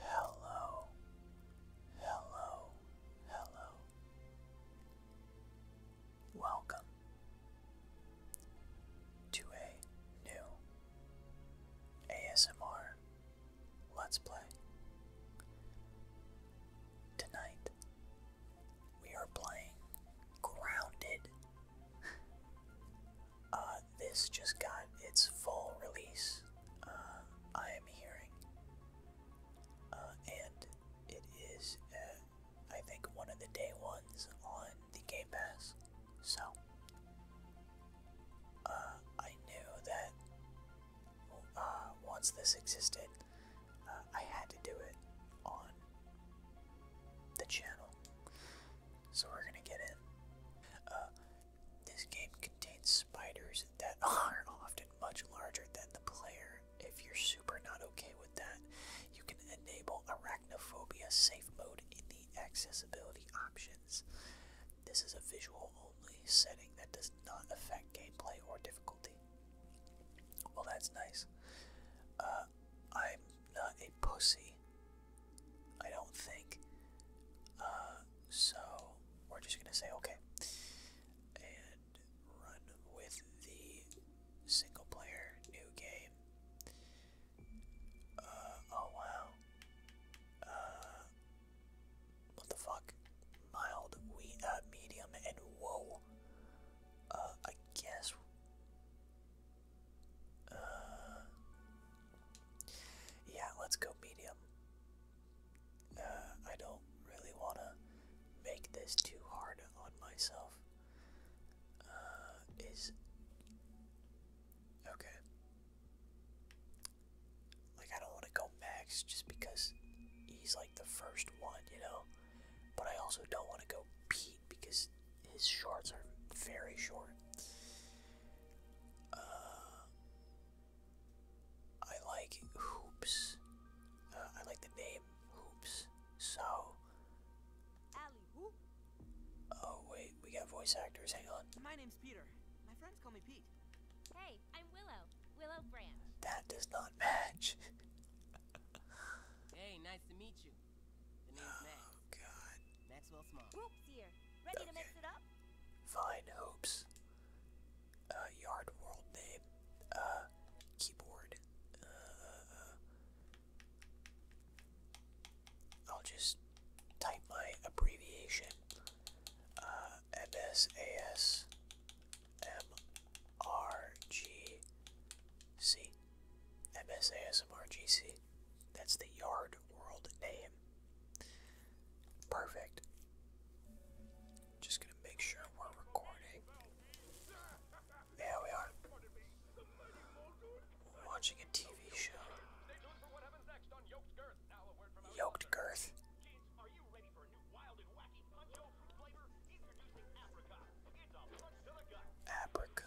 Hello, hello, hello. Welcome to a new ASMR Let's Play. Tonight we are playing Grounded Uh, this just got its full release, uh, I am hearing. Uh, and it is, I think, one of the day ones on the Game Pass. So, I knew that once this existed, I had to do it on the channel. So we're gonna get in. Uh, this game contains spiders that are often much larger than the player. If you're super not okay with that, you can enable Arachnophobia Safe Mode in the Accessibility options. This is a visual only setting that does not affect gameplay or difficulty. Well, that's nice. Uh, uh, I'm not a pussy. I don't think. Uh, so we're just gonna say okay. And run with the single player new game. Uh, oh wow. what the fuck? Mild, we, uh, medium, and whoa. I guess uh, yeah, let's go medium. Uh, I don't really want to make this too hard on myself. Uh, is okay. Like I don't want to go max just because he's like the first one, you know. But I also don't want to go because his shorts are very short. Uh, I like hoops. Uh, I like the name hoops. So. Oh wait, we got voice actors. Hang on. My name's Peter. My friends call me Pete. Hey, I'm Willow. Willow Branch. That does not match. hey, nice to meet you. Oh god. Maxwell Small. Hoops here. Ready to mix it up? Fine, Hoops. Uh, yard world name. Uh, keyboard. Uh, I'll just type my abbreviation. MSAS MRGC. MSASMRGC. That's the Yard World name. Perfect. Just gonna make sure we're recording. Yeah, we are. watching a TV show. Yoked Girth. Apricot.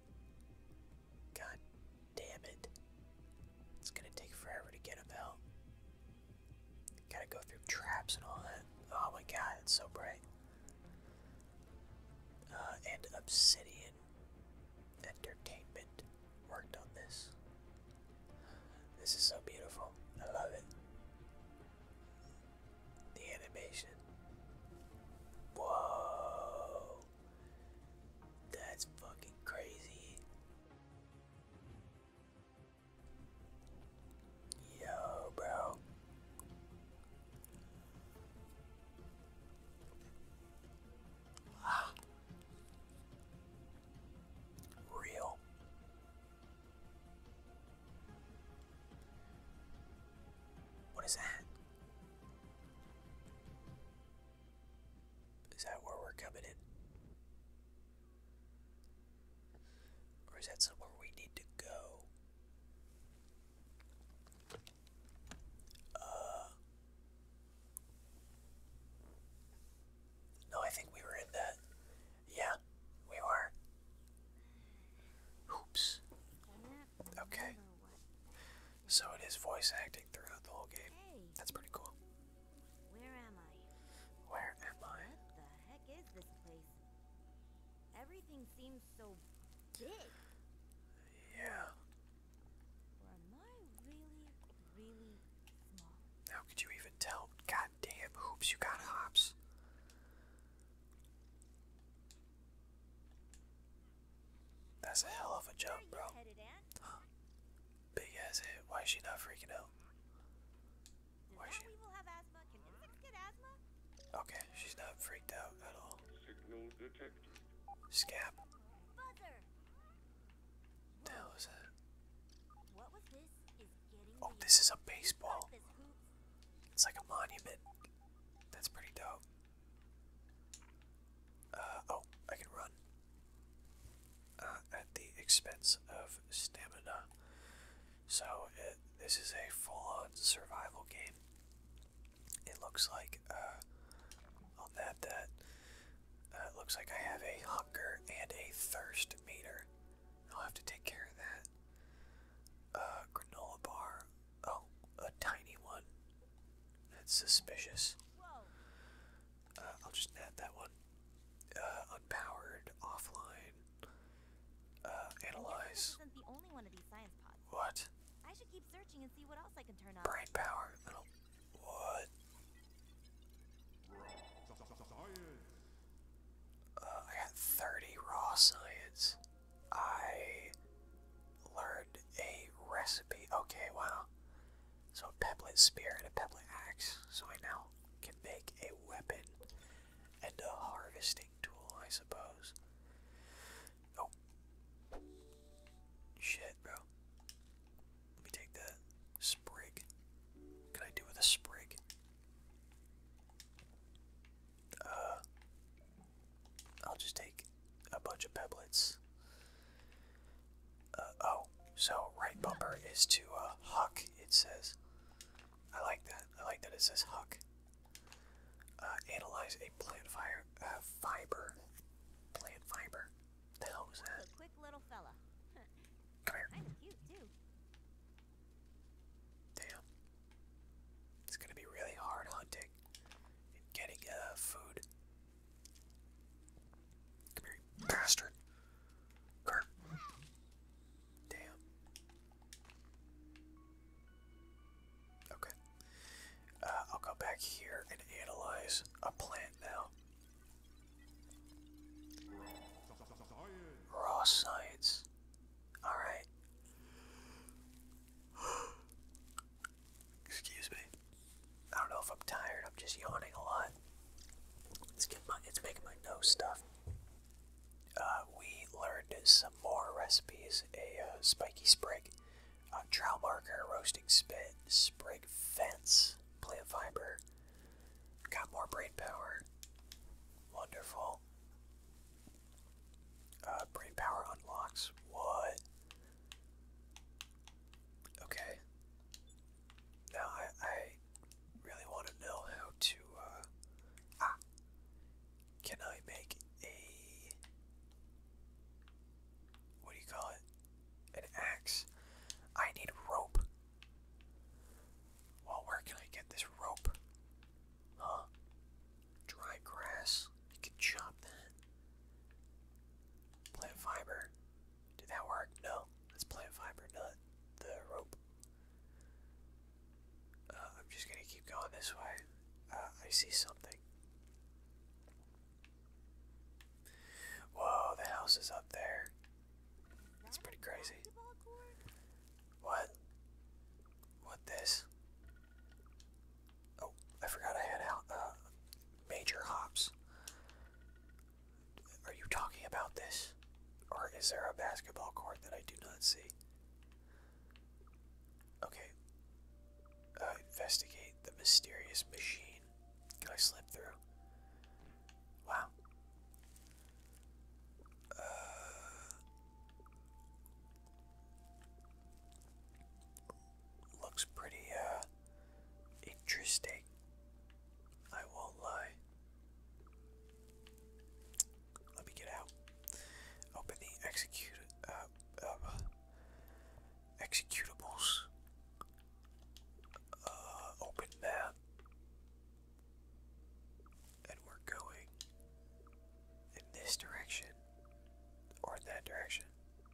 God damn it. It's gonna take forever to get him out. Gotta go through traps and all that. Oh my god, it's so bright. Uh, and Obsidian Entertainment worked on this. This is so beautiful. I love it the animation. Whoa, that's fucking crazy. Yo, bro. Ah. Real. What is that? Is that where we're coming in? Or is that somewhere we need to go? Uh. No, I think we were in that. Yeah, we were. Oops. Okay. So it is voice acting throughout the whole game. That's pretty cool. Where am I? Where am I? What the heck is this place? Everything seems so big. Yeah. Or am I really, really small? How could you even tell? Goddamn hoops, you got hops. That's a hell of a jump, bro. Huh. Big ass hit. Why is she not freaking out? Why is she? Okay, she's not freaked out at all. Scab. The hell is Oh, this is a baseball. It's like a monument. That's pretty dope. Uh, oh, I can run. Uh, at the expense of stamina. So, uh, this is a full on survival game. It looks like, uh, i that. it looks like I have a hunger and a thirst meter. I'll have to take care of that. granola bar. Oh, a tiny one. That's suspicious. Uh, I'll just add that one. Uh, unpowered, offline. Uh, analyze. What? I should keep searching and see what else I can turn on. Brain power. What? I got 30 raw science. I learned a recipe. Okay, wow. So a peblet spear and a peblet axe. So I now can make a weapon and a harvesting tool, I suppose. Oh. Shit, bro. Let me take that sprig. What can I do with a sprig? Uh, I'll just take a bunch of pebbles. Uh, oh, so right bumper is to uh, huck, it says. I like that. I like that it says huck. Uh, analyze a plant uh, fiber. Plant fiber. The that? quick little fella. Come here. cute too. Damn. It's gonna be really hard hunting getting uh, food. bastard. Damn. Okay. Uh, I'll go back here and analyze a plant now. Raw science. Alright. Excuse me. I don't know if I'm tired. I'm just yawning a lot. It's getting my, it's making my nose stuff. Uh, we learned some more recipes: a uh, spiky sprig, a trowel marker, roasting spit, sprig fence, plant fiber. Got more brain power. Wonderful. Uh, brain power unlocks what? Okay. Now I, I really want to know how to. Uh, ah! Can I make a. What do you call it? An axe. I need rope. Well, where can I get this rope? Huh? dry grass. You could chop that. Plant fiber. Did that work? No. That's plant fiber, not the rope. Uh, I'm just gonna keep going this way. Uh, I see something. Whoa, the house is up there. That's pretty crazy. What? What this? Oh, I forgot I had out uh, major hops. Are you talking about this? Or is there a basketball court that I do not see? Okay. Uh, investigate the mysterious machine. Can I slip through? Wow. Uh, Looks pretty, uh, interesting. I won't lie. Let me get out. Open the execute, uh, uh, executables. open that. And we're going in this direction. Or that direction.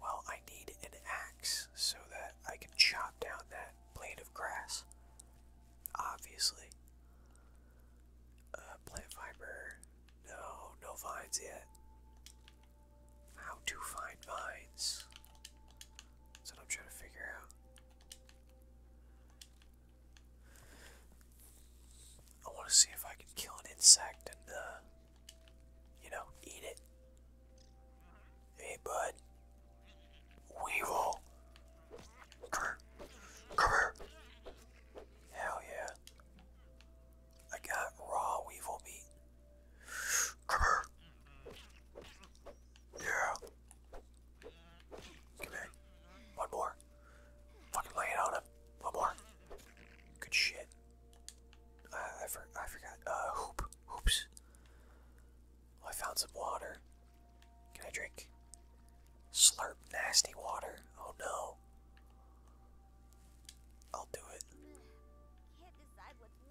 Well, I need an axe so that I can chop down that blade of grass. Obviously. Uh, plant fiber. No, no vines yet. How to find vines. That's I'm trying to figure out. I want to see if I can kill an insect and, uh, you know, eat it. Hey, bud. Weevil. Come here. Come here. Hell yeah. I got raw weevil meat. Come here. Yeah. Come here. One more. Fucking lay it on him. One more. Good shit. I, forgot. Uh, hoop. Hoops. I found some water. Can I drink? Slurp nasty water. Oh no. I'll do it.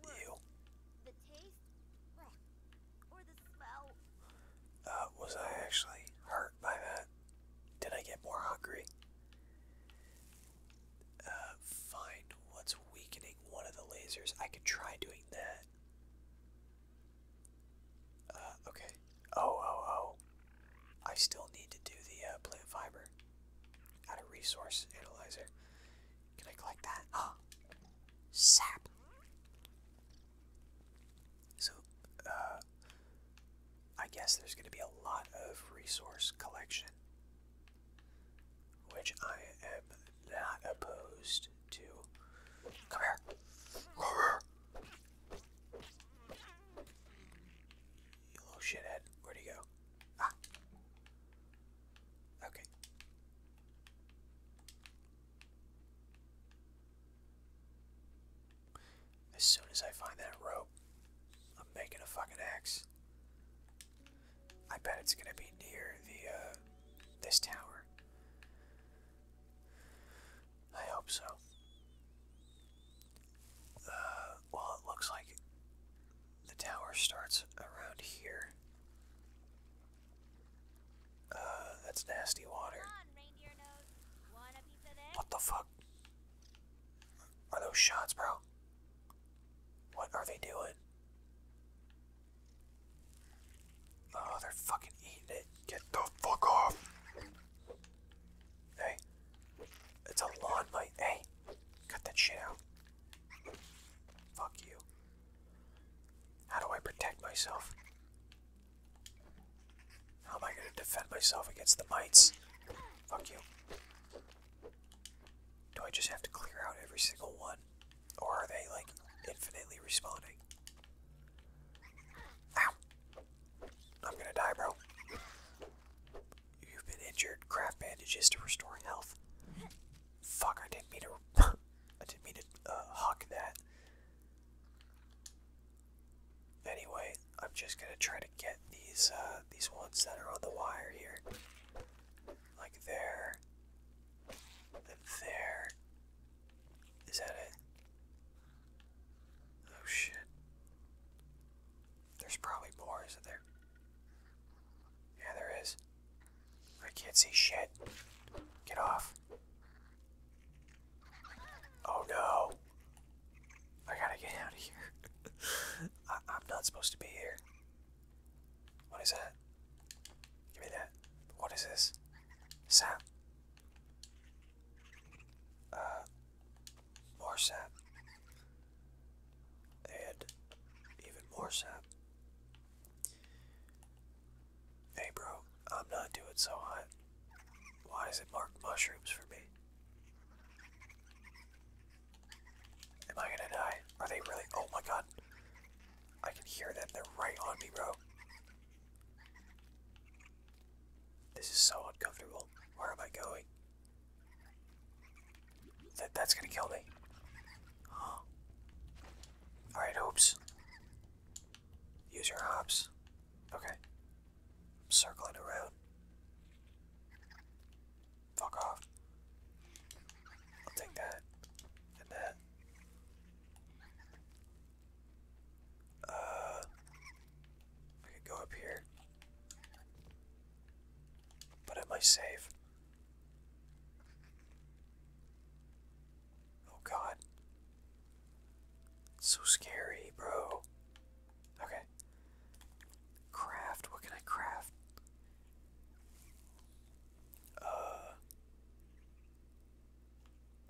can uh, was I actually hurt by that? Did I get more hungry? Uh, find what's weakening one of the lasers. I could try doing that. Uh, okay. Oh, oh, oh. I still need to do the uh, plant fiber. Out of resource analyzer. Can I collect that? Ah! Sap! So, uh, I guess there's going to be a lot of resource collection which I am not opposed to. Come here. You little shithead. Where'd he go? Ah. Okay. As soon as I find that rope, I'm making a fucking axe. I bet it's gonna be near the uh, this tower. I hope so. Uh, well, it looks like the tower starts around here. Uh, that's nasty water. What the fuck? Are those shots, bro? What are they doing? Oh, they're fucking eating it. Get the fuck off. Hey. It's a lawn light. Hey. Cut that shit out. Fuck you. How do I protect myself? How am I gonna defend myself against the mites? Fuck you. Do I just have to clear out every single one? Or are they, like, infinitely responding? Ow! I'm gonna die, bro. You've been injured. Craft bandages to restore health. Fuck, I didn't mean to... I didn't mean to, uh, that. Anyway, I'm just gonna try to get these, uh, these ones that are on the wire here. Like there there. Is that it? Oh shit. There's probably more, isn't there? Yeah, there is. I can't see shit. Get off. Oh no. I gotta get out of here. I'm not supposed to be here. What is that? Give me that. What is this? Sap. Uh, more sap. And even more sap. Hey, bro, I'm not doing so hot. Why is it marked mushrooms for me? Am I gonna die? Are they really? Oh my god. I can hear them. They're right on me, bro. This is so uncomfortable. Where am I going? That that's gonna kill me. Alright, hoops. Use your hops. Okay. I'm circling around. Fuck off. I'll take that. And that. Uh, I go up here. But am I safe? Oh god. so scary, bro. Okay. Craft, what can I craft? Uh,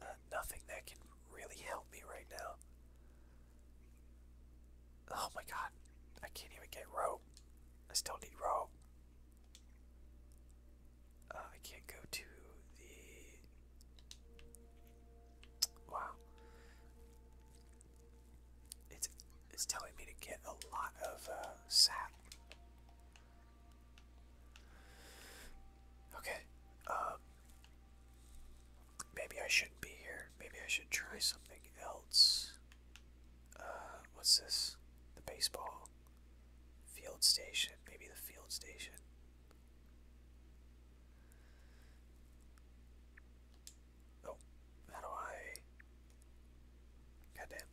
uh, nothing that can really help me right now. Oh my god, I can't even get rope. I still need rope. Uh, I can't go to the. Wow. It's it's telling me to get a lot of uh, sap. Okay. Um, maybe I shouldn't be here. Maybe I should try something else. Uh, what's this? The baseball. Field station. Maybe the field station. Oh, how do I. Goddamn.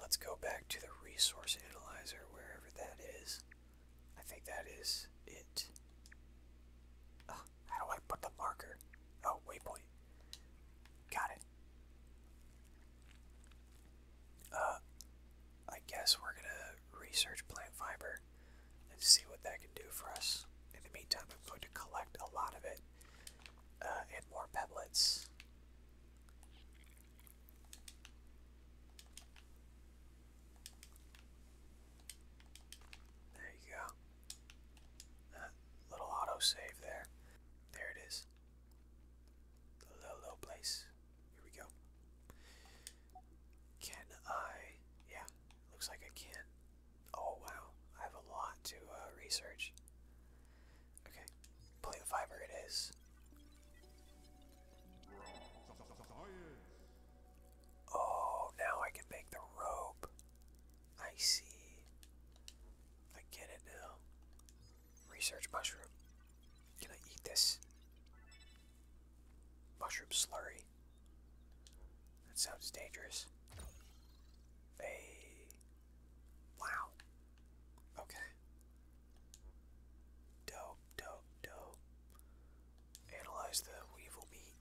Let's go back to the resource analyzer, wherever that is. I think that is it. Oh, how do I put the marker? Oh, waypoint. Got it. Uh, I guess we're gonna research plant fiber and see what that can do for us. In the meantime, I'm going to collect a lot of it uh, and more pebbles. There you go. That little auto save there. There it is. The little low place. Here we go. Can I? Yeah, looks like I can. Oh wow, I have a lot to uh, research. Okay, plant fiber it is. Oh, now I can make the rope. I see. I get it now. Research mushroom. Can I eat this? Mushroom slurry. That sounds dangerous. Hey. Wow. Okay. Dope, dope, dope. Analyze the weevil meat.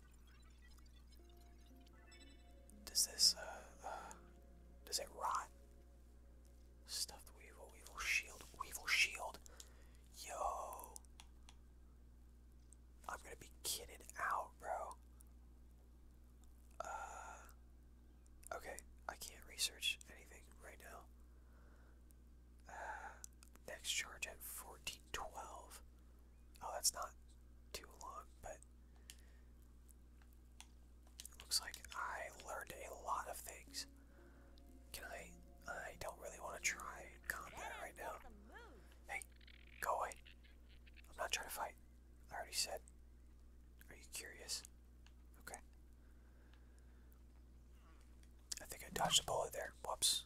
Does this, uh, uh does it rot? Stuff weevil, weevil shield, weevil shield. Yo. I'm gonna be kitted out, bro. Uh, Okay, I can't research anything right now. Uh, next charge at 1412. Oh, that's not too long, but it looks like I learned a lot of things. Can I? I don't really want to try combat right now. Hey, go away. I'm not trying to fight. I already said. Are you curious? Okay. I think I dodged a bullet there. Whoops.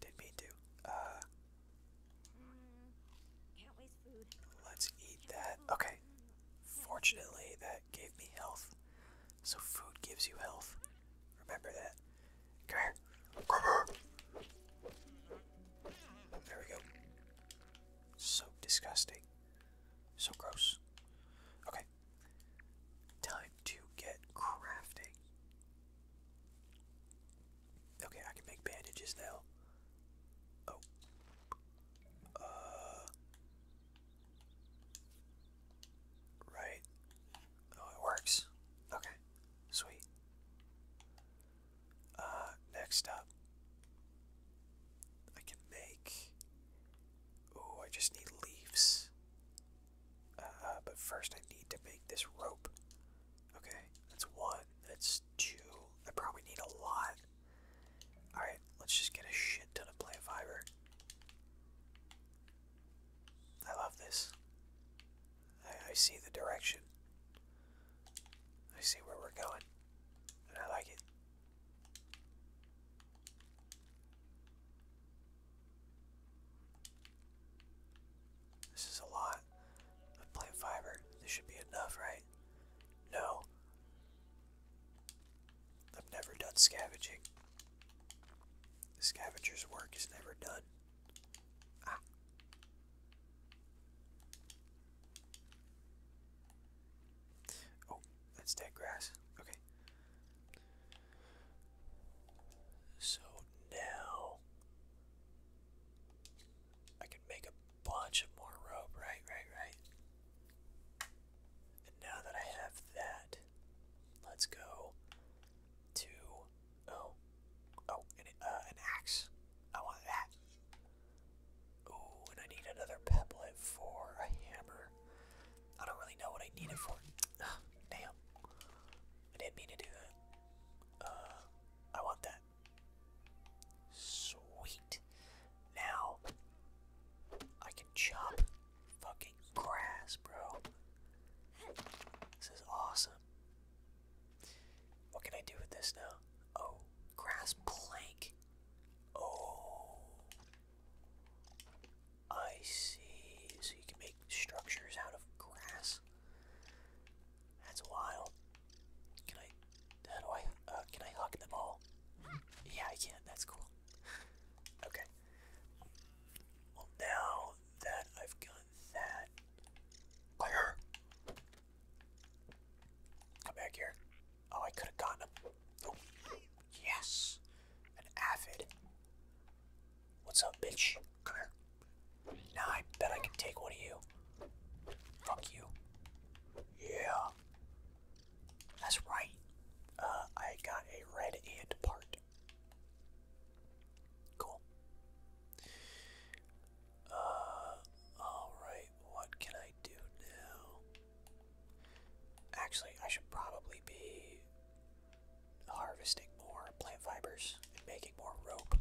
Didn't mean to. Uh, let's eat that. Okay. Fortunately, that gave me health. So food gives you health. Remember that. Come here. There we go. So disgusting. So gross. Okay. Time to get crafting. Okay, I can make bandages now. Oh. Uh. Right. Oh, it works. Okay. Sweet. Uh, next up, I can make. Oh, I just need leaves. Uh, but first, I need to make this rope. Okay, that's one. That's two. I probably need a lot. Alright, let's just get a shit ton of plant fiber. I love this. I, I see the direction. I see where we're going. And I like it. This is a lot of plant fiber. This should be enough, right? No. I've never done scavenging. The scavenger's work is never done. Ah. Oh, that's dead grass. Okay. So now I can make a bunch of more rope, right, right, right. And now that I have that, let's go to oh, oh, an, uh, an axe. I want that. Ooh, and I need another pebblet for a hammer. I don't really know what I need it for. Ah, damn. I didn't mean to do that. Uh, I want that. Sweet. Now, I can chop fucking grass, bro. This is awesome. What can I do with this now? Oh, grass plank. Oh, I see. So you can make structures out of grass. That's wild. Can I? How do I? Uh, can I hug them all? Yeah, I can. That's cool. okay. Well, now that I've got that, fire. Come back here. Oh, I could have gotten him. Oh, yes. An avid. What's up, bitch? Come here. Now I bet I can take one of you. Fuck you. Yeah. That's right. Uh, I got a red and part. Cool. Uh, alright what can I do now? Actually, I should probably be harvesting more plant fibers and making more rope.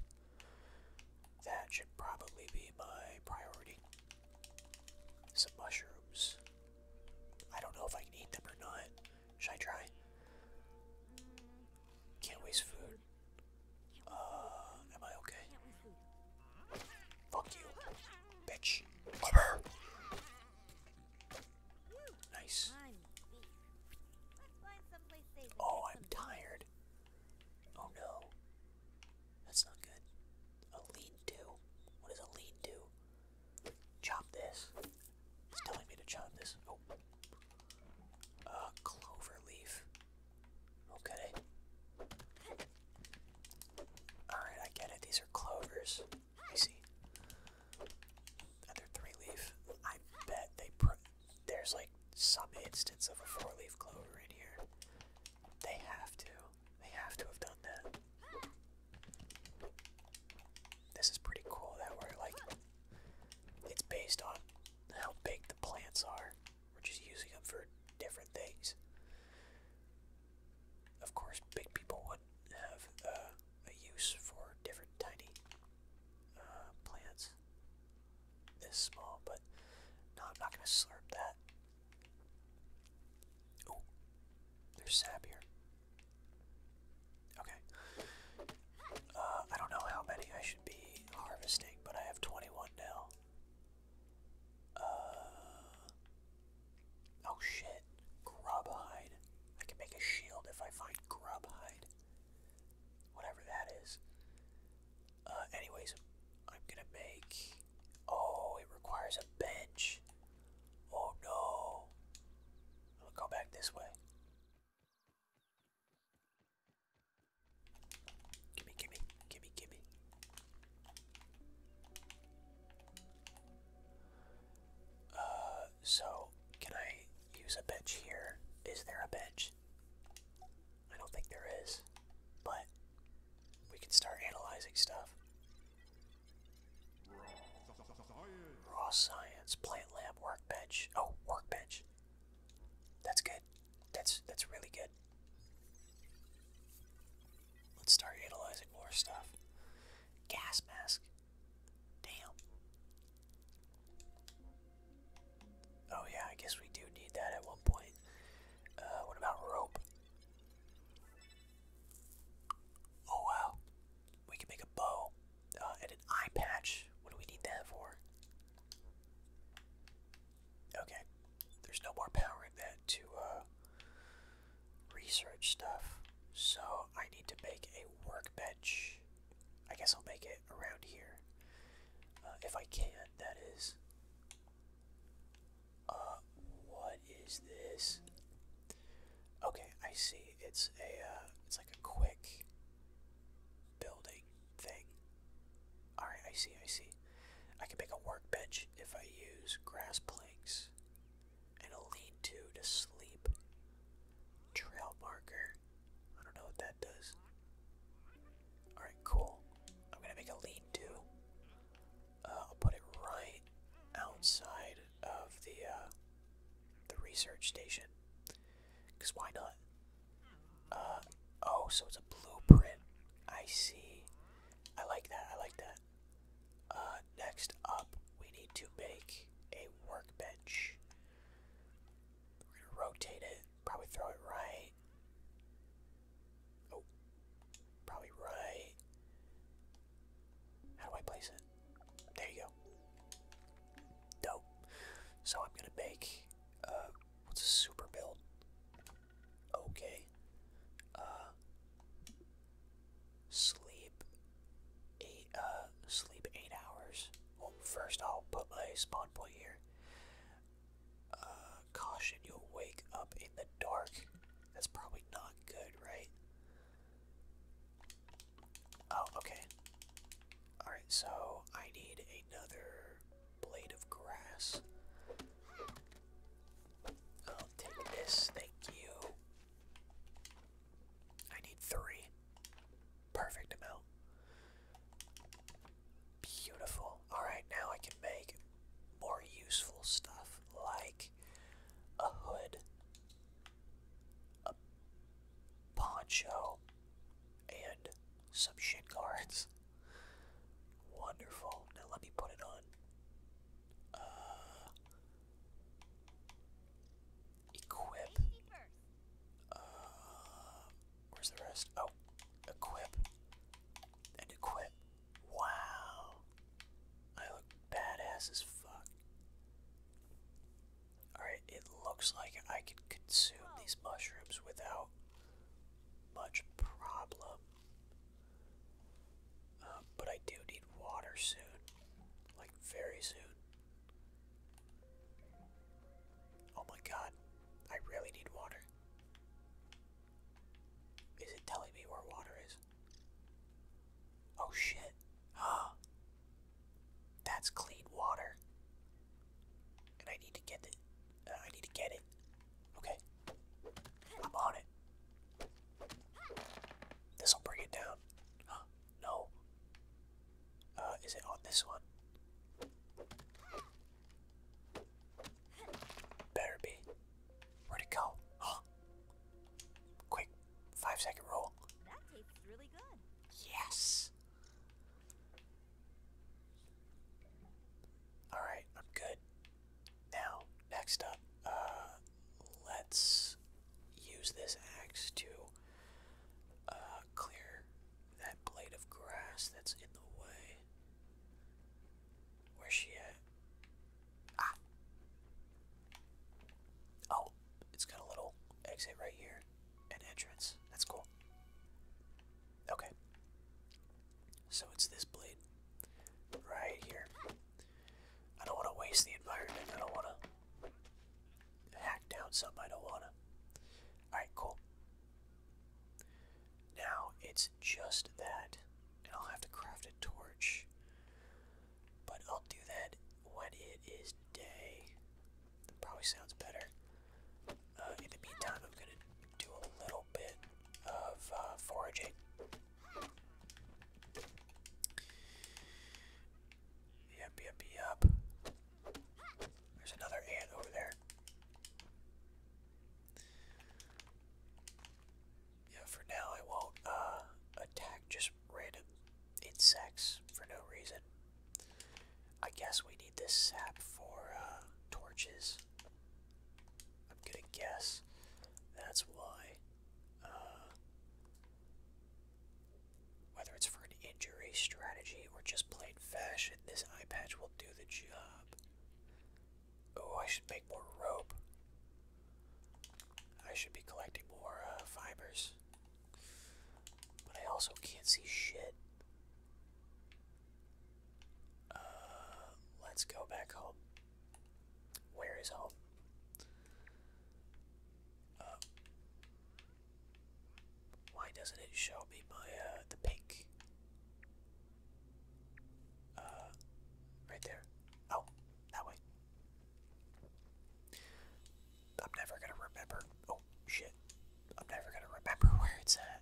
That should probably be my priority. Some mushrooms. I don't know if I can eat them or not. Should I try? Can't waste food. Uh, am I okay? Fuck you, bitch. Nice. Oh, I'm tired. Oh no. That's not good. A lead to? What does a lead do? Chop this. It's telling me to chop this. Oh. Uh, clover leaf. Okay. Alright, I get it. These are clovers. I see. And they're three leaf. I bet they put. There's like some instance of a four leaf clover in here. They have to. They have to have done that. This is pretty cool that we're like. It's based on how big the plants are. We're just using them for different things. Of course, big people would have uh, a use for different tiny uh, plants. This small, but no, I'm not going to slurp that. Oh, there's sap here. Okay. Uh, I don't know how many I should be harvesting, but I have 21 now. Uh. Oh shit. Grub hide. I can make a shield if I find grub hide. Whatever that is. Uh, anyways, I'm gonna make. Oh, it requires a bench. Oh no. I'll go back this way. Gimme, gimme, gimme, gimme. Uh, so can I use a bench here? Is there a bench? I don't think there is, but we can start analyzing stuff. Raw science, plant lab, workbench. Oh, workbench. That's good. That's that's really good. Let's start utilizing more stuff. Gas mask. Damn. Oh yeah, I guess we do need that at one point. Uh, what about rope? Oh wow. We can make a bow uh, and an eye patch. What do we need that for? Okay. There's no more power in that to uh research stuff. So I need to make a workbench. I guess I'll make it around here. Uh, if I can, that is. Uh, what is this? Okay, I see. It's a, uh, it's like a quick building thing. Alright, I see, I see. I can make a workbench if I use grass planks and a lean to to sleep. Trail marker. I don't know what that does. Alright, cool. I'm gonna make a lean to. Uh, I'll put it right outside of the uh, the research station. Cause why not? Uh, oh, so it's a blueprint. I see. I like that. I like that. Uh, next up, we need to make a workbench. We're gonna rotate it, probably throw it right. Oh, probably right. How do I place it? There you go. Dope. So I'm gonna make, uh, what's a super build? Okay. Uh, sleep eight uh, sleep eight hours. Well first I'll put my spawn point here. Uh, caution you'll wake up in the dark. That's probably not good, right? Oh, okay. Alright, so I need another blade of grass. I'll take this, thank you. I need three. Perfect amount. Beautiful. Alright, now I can make more useful stuff like a hood, a poncho, and some shin guards. Wonderful. Now let me put it on. Uh, equip. Uh, where's the rest? Oh, equip and equip. Wow, I look badass as fuck. All right, it looks like I could consume these mushrooms without much problem. Um, but I do need water soon. Like, very soon. Oh my god. I really need water. Is it telling me where water is? Oh shit. Huh. Ah. That's clean water. And I need to get it. Uh, I need to get it. Okay. I'm on it. This'll bring it down. No. Uh, is it on this one? Better be. Where'd it go? Huh? Quick, five second roll. Yes. All right, I'm good. Now, next up, uh, let's use this axe to uh, clear that blade of grass that's in the way. Where's she at? Ah! Oh, it's got a little exit right here. An entrance. That's cool. Okay. So it's this blade right here. I don't want to waste the environment. I don't want to hack down something I don't want to. Alright, cool. Now it's just that, I'll have to craft a torch. But I'll do that when it is day. probably sounds better. Uh, in the meantime, I'm going to do a little bit of uh, foraging. Yep, yep, yep. There's another ant over there. Yeah, for now I won't uh, attack just random insects for no reason. I guess we need this sap for uh, torches. I'm gonna guess that's why. Uh, whether it's for an injury strategy or just plain fashion, this eye patch will do the job. Oh, I should make more rope. I should be collecting more uh, fibers. But I also can't see shit. Uh, let's go back home. Where is home? Uh, why doesn't it show me uh, the pink? Uh, right there. Oh, that way. I'm never gonna remember. Oh shit! I'm never gonna remember where it's at.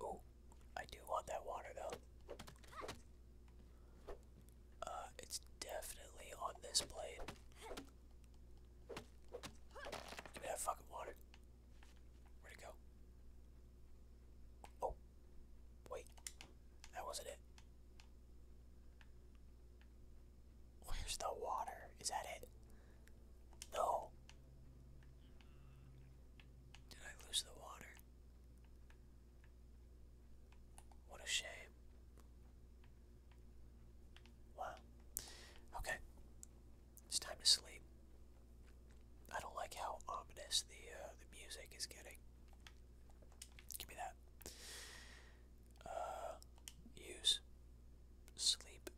Oh, I do want that water though. Uh, it's definitely on this blade. Give that fucking water. Where'd it go? Oh, wait, that wasn't it. Where's the water? Is that it? No. Did I lose the water? What a shame. Wow. Okay. It's time to sleep. I don't like how ominous the uh, the music is getting. Give me that. Uh, use sleep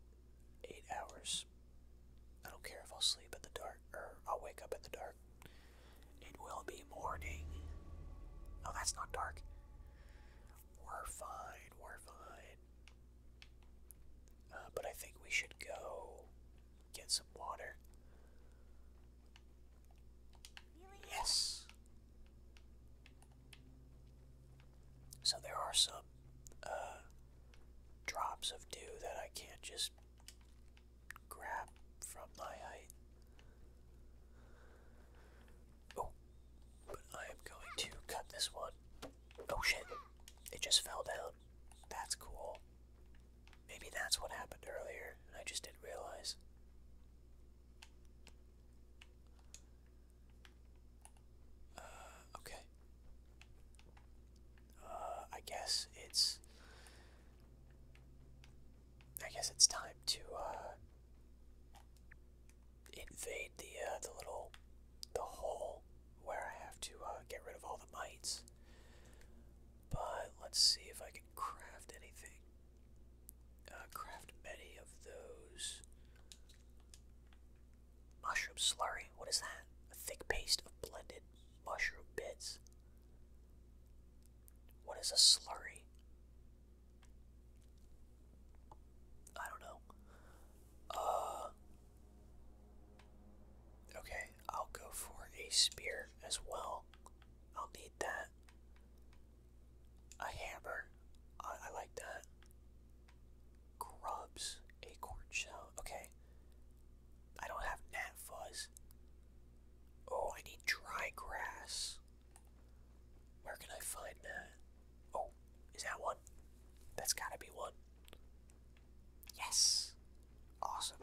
eight hours. I don't care if i sleep in the dark dark, or er, I'll wake up in the dark. It will be morning. Oh, that's not dark. We're fine, we're fine. Uh, but I think we should go get some water. Yes. So there are some uh, drops of dew that I can't just grab from my height. Oh, but I am going to cut this one. Oh shit, it just fell down. That's cool. Maybe that's what happened earlier, I just didn't realize. Uh, okay. Uh, I guess it's I guess it's time to uh, invade the uh, the little the hole where I have to uh, get rid of all the mites. But let's see if I can craft anything. Uh, craft many of those mushroom slurry. What is that? A thick paste of blended mushroom bits. What is a slurry? I don't know. Uh. Okay, I'll go for a spear as well. I'll need that. A hammer. I, like that. Grubs. Acorn shell. Okay. I don't have gnat Oh, I need dry grass. Where can I find that? Oh, is that one? That's gotta be one. Yes! Awesome.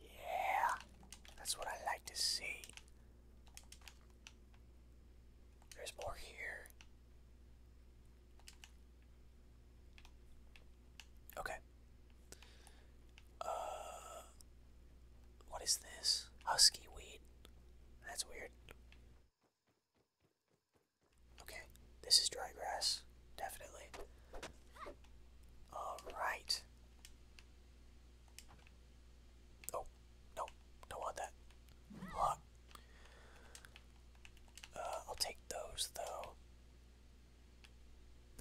Yeah, that's what I like to see. There's more here. Okay. Uh, what is this? Husky weed. That's weird. Okay, this is dry grass, definitely. All right. Oh, no, don't want that. Lock. Uh, I'll take those though.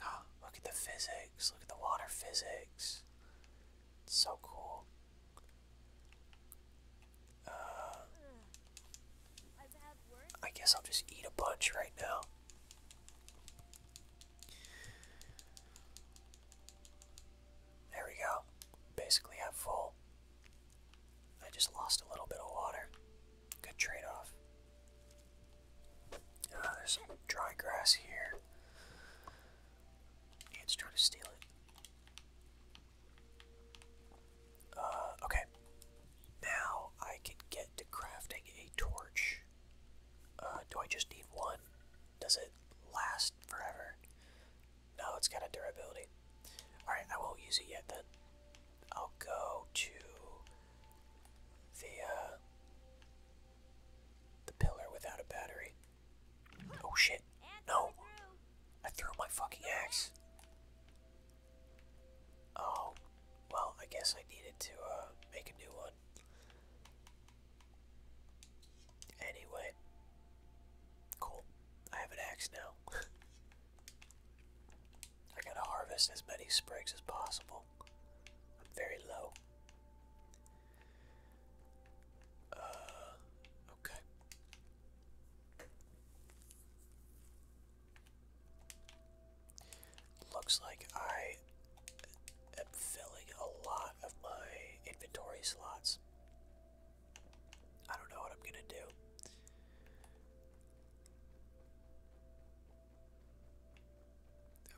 Oh, look at the physics. Look at the water physics. It's so cool. Uh, I guess I'll just eat a bunch right now. There we go. Basically, I'm full. I just lost a little bit of water. Good trade off. Uh, there's some dry grass here. Ants trying to steal it. Uh, okay. Now I can get to crafting a torch. Uh, do I just need one? Does it last forever? No, it's got a durability. Alright, I won't use it yet then. I'll go to the uh, the pillar without a battery. Oh shit! No, I threw my fucking axe. Oh, well, I guess I needed to uh, make a new one. Anyway, cool. I have an axe now. I gotta harvest as many sprigs as possible. I'm very low. Uh, okay. Looks like I am filling a lot of my inventory slots. I don't know what I'm gonna do.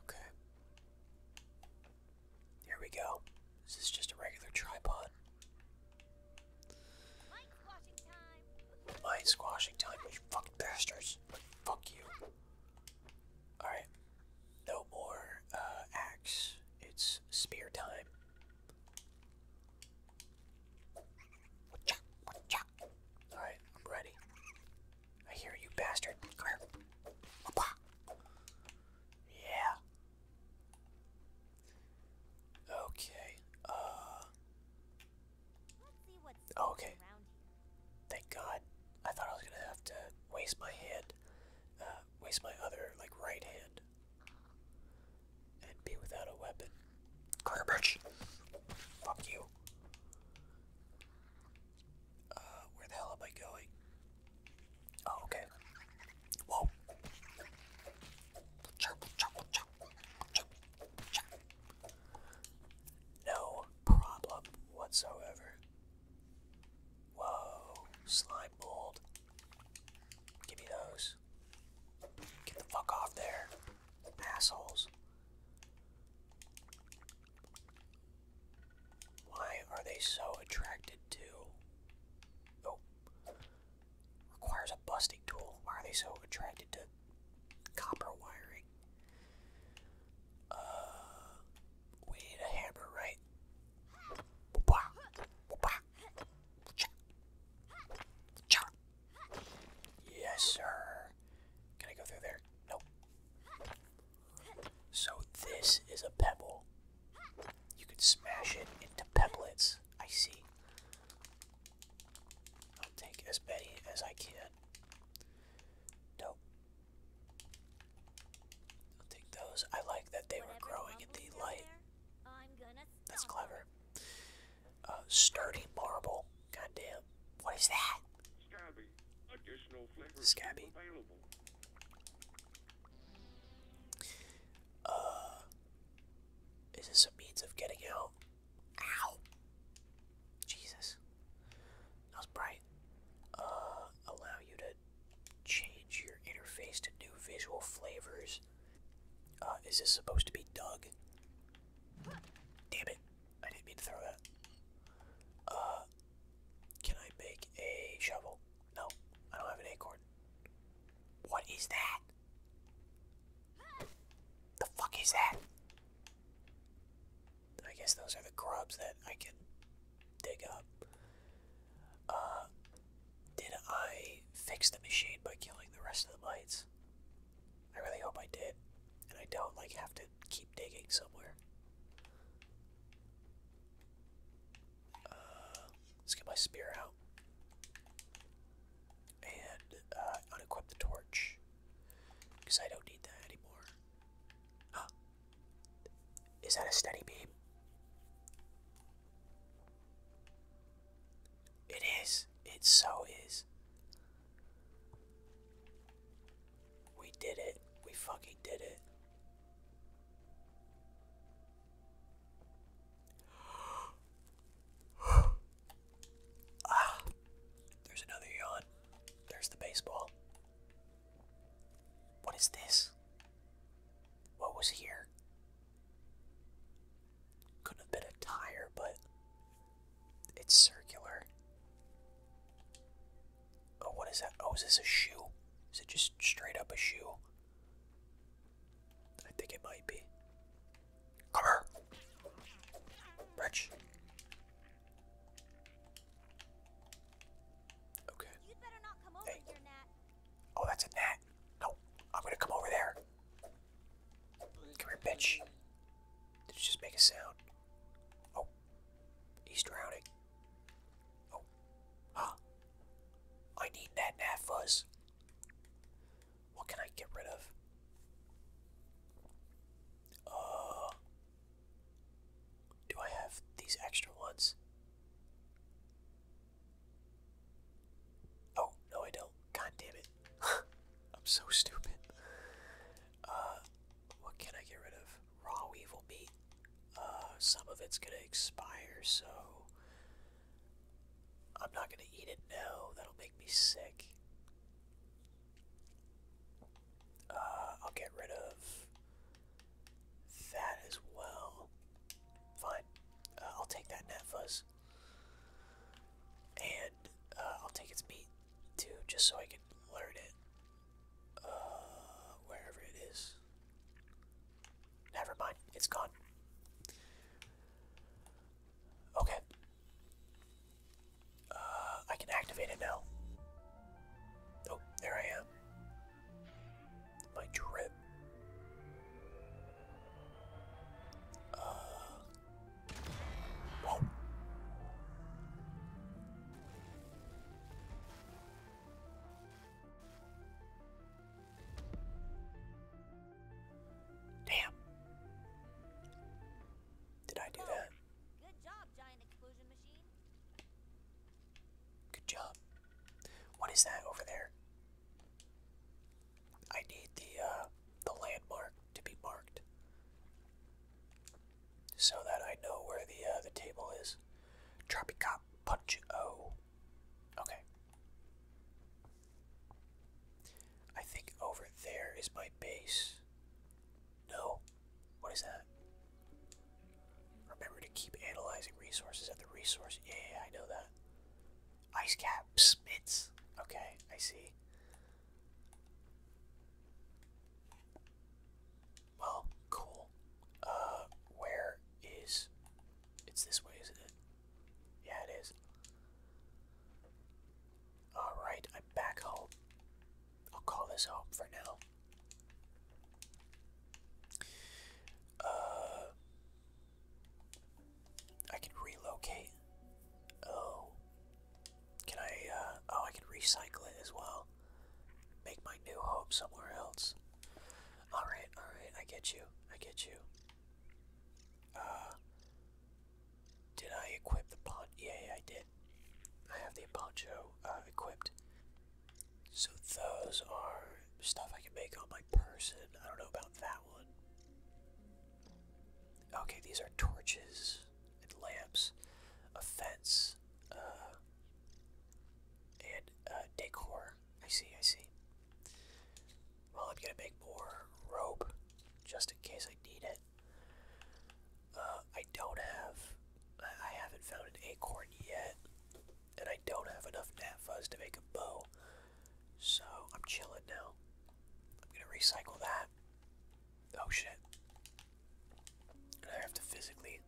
Okay. Here we go. This is just a regular tripod. Mine squashing time. you fucking bastards. Fuck you. Alright. No more uh, axe. It's spear time. Alright, I'm ready. I hear you, bastard. Come Yeah. Okay. Uh, okay. Thank God. I thought I was gonna have to waste my hand, uh, waste my other like right hand, and be without a weapon. Garbage. Fuck you. Uh, where the hell am I going? Oh, okay. Whoa. No problem whatsoever. Whoa, slime mold. Give me those. Get the fuck off there, assholes. Why are they so attracted to? Oh, requires a busting tool. Why are they so attracted to copper wiring? Uh, we need a hammer, right? Yes, sir. Can I go through there? Nope. So this is a pebble. You could smash it into pebblets. I see. I'll take as many as I can. Nope. I'll take those. I like that they were growing in the light. That's clever. Uh, sturdy marble. Goddamn. What is that? Scabby. Additional flavors available. Uh, is this a means of getting out? Ow! Jesus. That was bright. Uh, allow you to change your interface to new visual flavors. Uh, is this supposed to be Doug? Damn it. I didn't mean to throw that. Uh, can I make a shovel? No, I don't have an acorn. What is that? The fuck is that? I guess those are the grubs that I can dig up. Uh, did I fix the machine by killing the rest of the mites? I really hope I did, and I don't like have to keep digging somewhere. Uh, let's get my spear out and uh, unequip the torch because I don't need that anymore. Ah. Is that a steady beam? It is. It so is. We did it. We fucking did it. ah, there's another yawn. There's the baseball. What is this? What was here? could have been a tire, but it's circular. Oh, what is that? Oh, is this a shoe? Is it just straight up a shoe? I think it might be. Come here! Wretch. Okay. hey. Oh, that's a gnat. No, I'm gonna come over there. Come here, bitch. Did it just make a sound? Oh. He's drowning. Oh. Huh. I need that nat fuzz. What can I get rid of? Uh do I have these extra ones? Oh, no I don't. God damn it. I'm so stupid. Uh what can I get rid of? Raw weevil meat. Uh, some of it's gonna expire, so I'm not gonna eat it now. That'll make me sick. Uh, I'll get rid of that as well. Fine. Uh, I'll take that net fuzz. And I'll take its meat too, just so I can learn it. Uh, wherever it is. Never mind, it's gone. Okay. Uh, I can activate it now. Oh, there I am. My drip. Uh, Damn. Did I do that? Good job, giant explosion machine. Good job. What is that over there? I need the uh, the landmark to be marked so that I know where the uh, the table is. Tropicop Punch O. Okay. I think over there is my base. No. What is that? Remember to keep analyzing resources at the resource. Yeah, I know that. Ice cap spits. Okay, I see. Well, cool. Uh, where is... It's this way, isn't it? Yeah, it is. Alright, I'm back home. I'll call this home for now. Uh, I can relocate. Oh, can I, uh, oh, I can recycle it as well. Make my new home somewhere else. Alright, alright, I get you, I get you. Uh, did I equip the pon- yeah, I did. I have the poncho, uh, equipped. So those are stuff I can make on my person. I don't know about that one. Okay, these are torches and lamps, a fence, uh, and uh, decor. I see, I see. Well, I'm gonna make more rope just in case I need it. Uh, I don't have, I haven't found an acorn yet, and I don't have enough nat to make a bow, so I'm chilling now. I'm gonna recycle that. Oh shit. I have to physically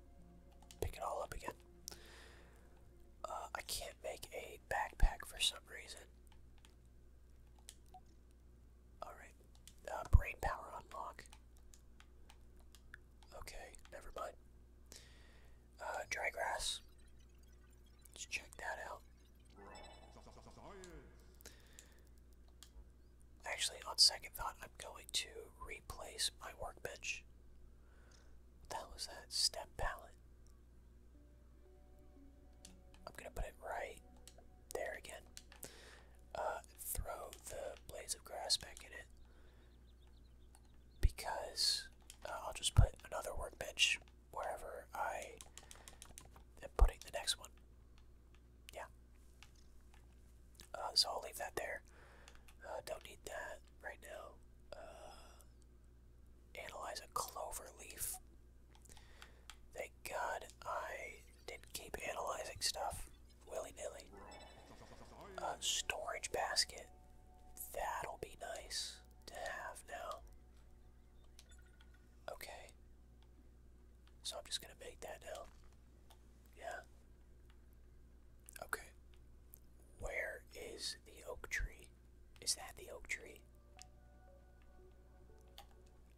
pick it all up again. Uh, I can't make a backpack for some reason. Alright. Uh, brain power unlock. Okay, never mind. Uh, dry grass. Let's check that out. Actually, on second thought, I'm going to replace my workbench. What the hell is that? Step pallet. I'm gonna put it right there again. Uh, throw the blades of grass back in it. Because uh, I'll just put another workbench wherever I am putting the next one yeah. Uh, so I'll leave that there. Uh, don't need that right now. Uh, analyze a clover leaf. Thank God I didn't keep analyzing stuff willy nilly. A storage basket. That'll be nice to have now. Okay. So I'm just gonna make that now. Yeah. Okay. Where is the oak tree? Is that the oak tree?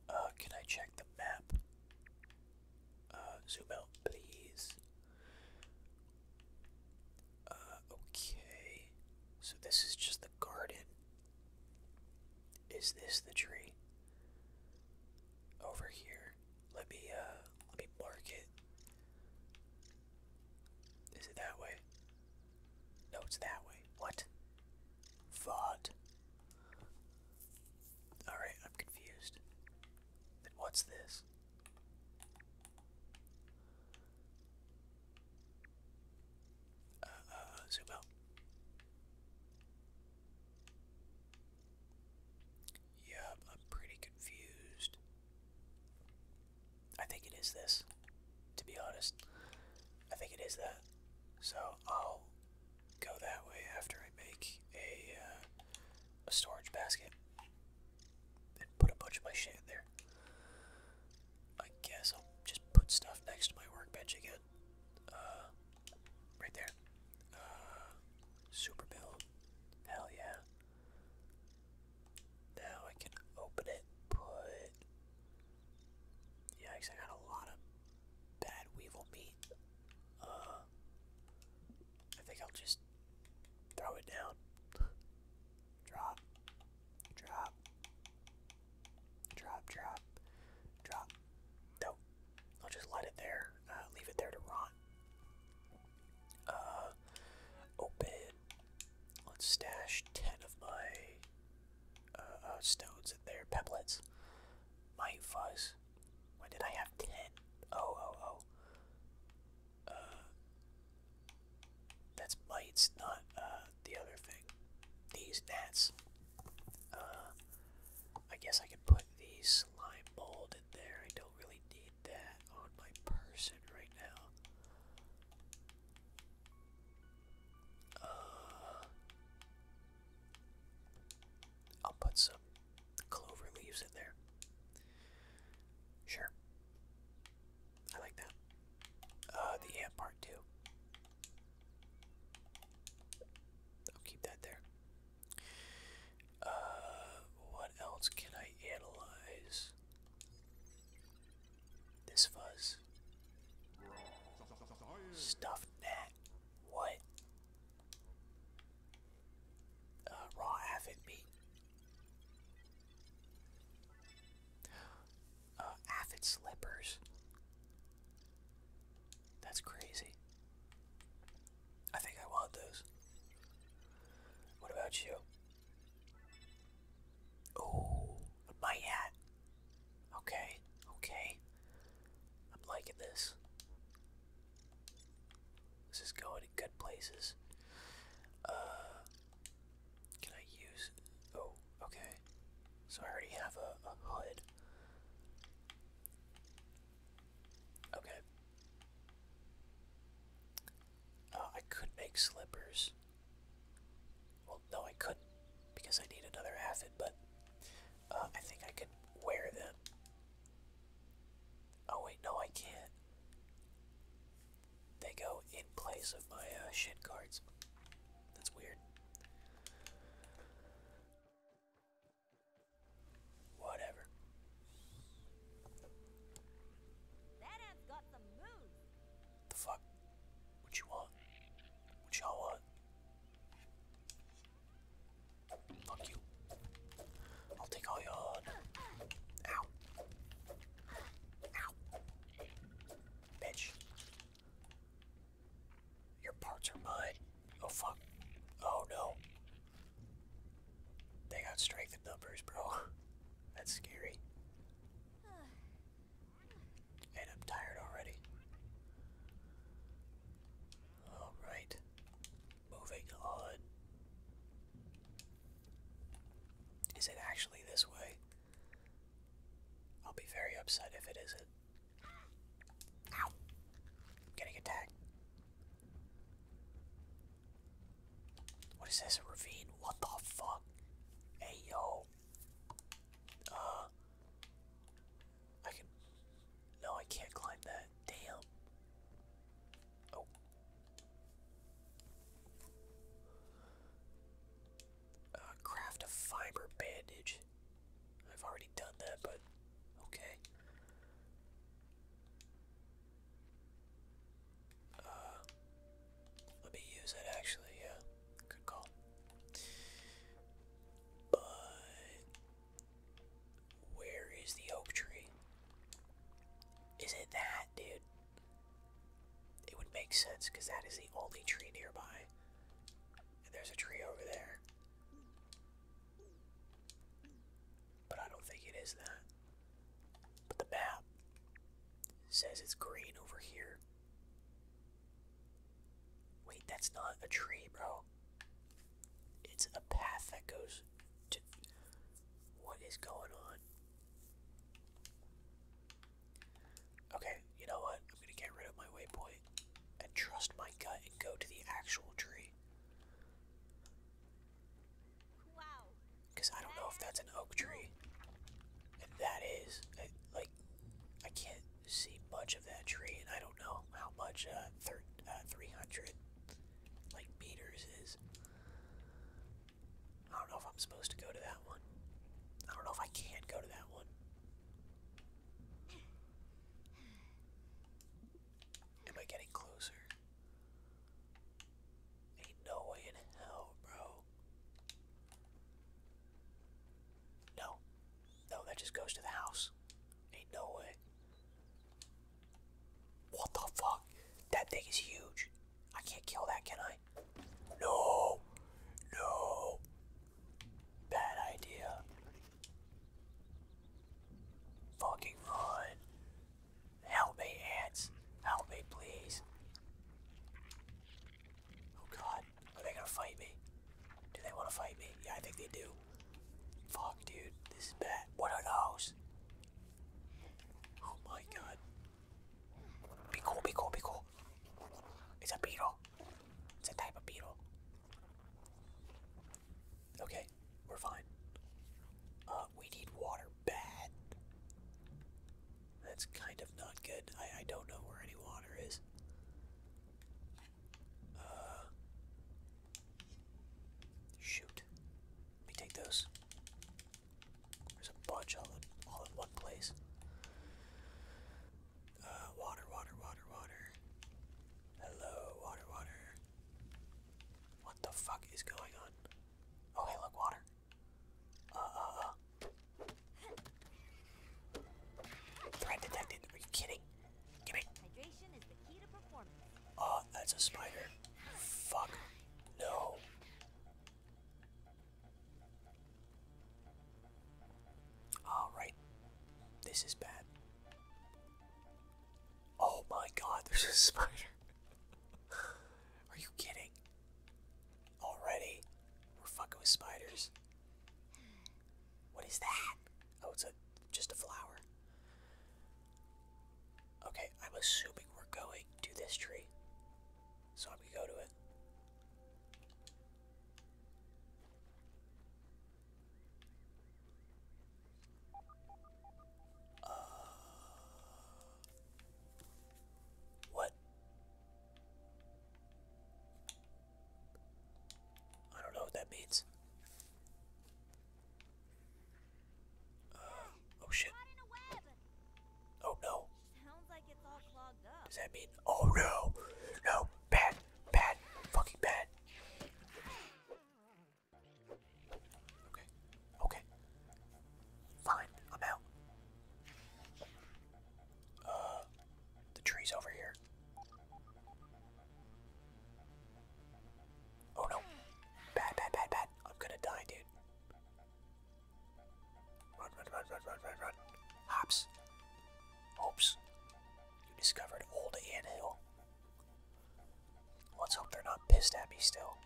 Uh, can I check the map? Uh, zoom out, please. Uh, okay. So this is just the garden. Is this the tree? Over here. Let me uh, let me mark it. Is it that way? No, it's that way. What? Vod. Alright, I'm confused. Then what's this? Uh, uh, Yep, I'm pretty confused. I think it is this, to be honest. I think it is that. So I'll go that way after I make a, uh, a storage basket and put a bunch of my shit there. I guess I'll just put stuff next to my workbench again. Uh, right there. Uh, Super build. Hell yeah. Now I can open it, put. Yikes, I got a lot of bad weevil meat. Uh. I think I'll just throw it down. drop. Drop. Drop, drop. Drop. Nope. I'll just light it there, uh, leave it there to rot. Uh, open. Let's stash ten of my uh, uh, stones in there, pebblets. My fuzz. Why did I have ten? Oh, oh, oh. Uh, that's mites, not uh, the other thing. These gnats. Uh, I guess I could put the slime mold in there. I don't really need that on my person right now. Uh, I'll put some clover leaves in there. Sure. I like that. Uh, the ant part too. I'll keep that there. Uh, what else can I analyze? This fuzz. Stuffed gnat. What? Uh, raw aphid meat. aphid slippers. That's crazy. I think I want those. What about you? Oh, my hat. Okay, okay. I'm liking this. This is going to good places. Uh, can I use? Oh, okay. So I already have a hood. Okay. Uh, I could make slippers. Well, no, I couldn't because I need another acid, but uh, I think I can wear them. Oh, wait, no, I can't. They go in place of my uh, shit cards. That's weird. Whatever. The fuck? What you want? What y'all want? Fuck you. I'll take all your Ow. Ow. Bitch. Your parts are mine. Oh fuck. Oh no. They got strength in numbers, bro. That's scary. And I'm tired already. Alright. Moving on. Is it actually this way? I'll be very upset if it isn't. getting attacked. What is this? ravine? What the fuck? Hey yo. Uh I can No, I can't climb that. Damn. Oh. Uh, craft a fiber bandage. I've already done that, but okay. Uh, let me use it actually, yeah. Good call. But where is the oak tree? Is it that, dude? It would make sense because that is the only tree nearby. And there's a tree over there. But I don't think it is that. But the map says it's green over here. Wait, that's not a tree, bro. It's a path that goes to. What is going on? Okay, you know what? I'm gonna get rid of my waypoint and trust my gut and go to the actual tree. Because I don't know if that's an oak tree. And that is, like, I can't see much of that tree, and I don't know how much uh, thir uh, 300, like, meters is. I don't know if I'm supposed to go to that one. I don't know if I can not go to that one. Am I getting closer? Ain't no way in hell, bro. No. No, that just goes to the house. Ain't no way. What the fuck? That thing is huge. I can't kill that, can I? No! No! Bad idea. Fucking run. Help me, ants. Help me, please. Oh god. Are they gonna fight me? Do they wanna fight me? Yeah, I think they do. Fuck, dude. This is bad. What are those? Oh my god. Be cool, be cool, be cool. It's a beetle. It's a type of beetle. Okay, we're fine. Uh, uh, we need water bad. That's kind of not good. I, I don't know where any water is. Uh, shoot. Let me take those. There's a bunch all in, all in one place. Uh, water, water, water, water. Hello, water, water. What the fuck is going on? Oh, hey, look, water. Uh, uh, uh, Threat detected. Are you kidding? Give me. Hydration uh, that's a spider. Fuck. No. Alright. This is bad. Oh my god, there's a spider. Are you kidding? Already? We're fucking with spiders. What is that? Oh, it's a just a flower. Okay, I'm assuming we're going to this tree. So I'm gonna go to it. Uh, what? I don't know what that means. Uh, oh shit. Oh no. Does that mean? Oh no! No! Bad! Bad! Fucking bad! Okay. Okay. Fine. I'm out. Uh, the tree's over here. Oh no. Bad, bad, bad, bad. I'm gonna die, dude. Run, run, run, run, run, run, run. Hops. Hopes. You discovered Old Ant Hill. Let's hope they're not pissed at me still.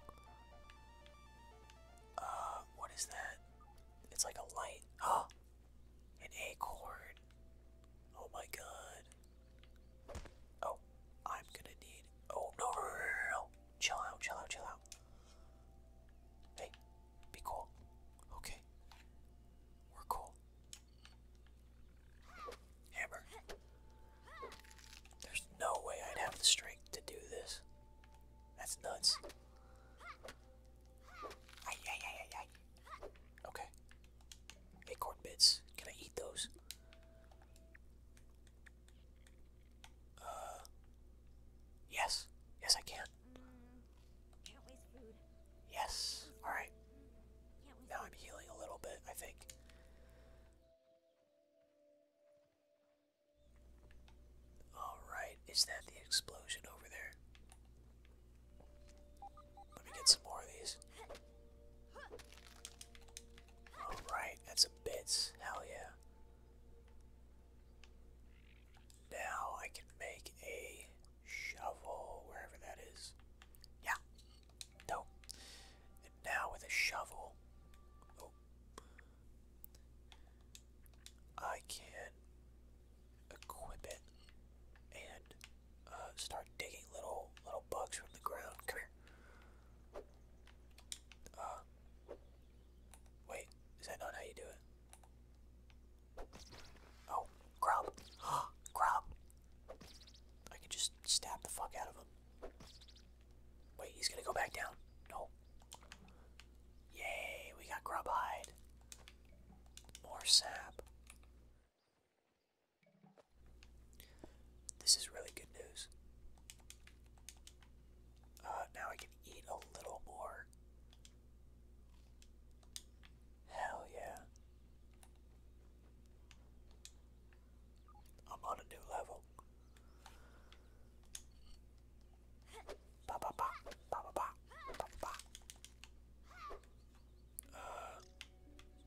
Uh, what is that? It's like a light. Ah! An acorn. Oh my god. Oh, I'm gonna need. Oh, no, Chill out, chill out, chill out. Hey, be cool. Okay. We're cool. Hammer. There's no way I'd have the strength to do this. That's nuts. Okay. Acorn bits. Can I eat those? Uh, yes. Yes, I can. Yes. Alright. Now I'm healing a little bit, I think. Alright, is that the explosion over there? Let me get some more of these. Alright, that's a bit. Hell yeah. Now I can make a shovel wherever that is. Yeah. Dope. And now with a shovel. Oh, I can equip it and uh, start digging little little bugs from the ground. Come here. Uh, wait, is that not how you do it? Oh, grub, grub. I can just stab the fuck out of him. Wait, he's gonna go back down. No. Yay, we got grub More sap. This is really good news. Uh, now I can eat a little more. Hell yeah. I'm on a new level. Ba ba ba ba ba ba ba ba. Uh,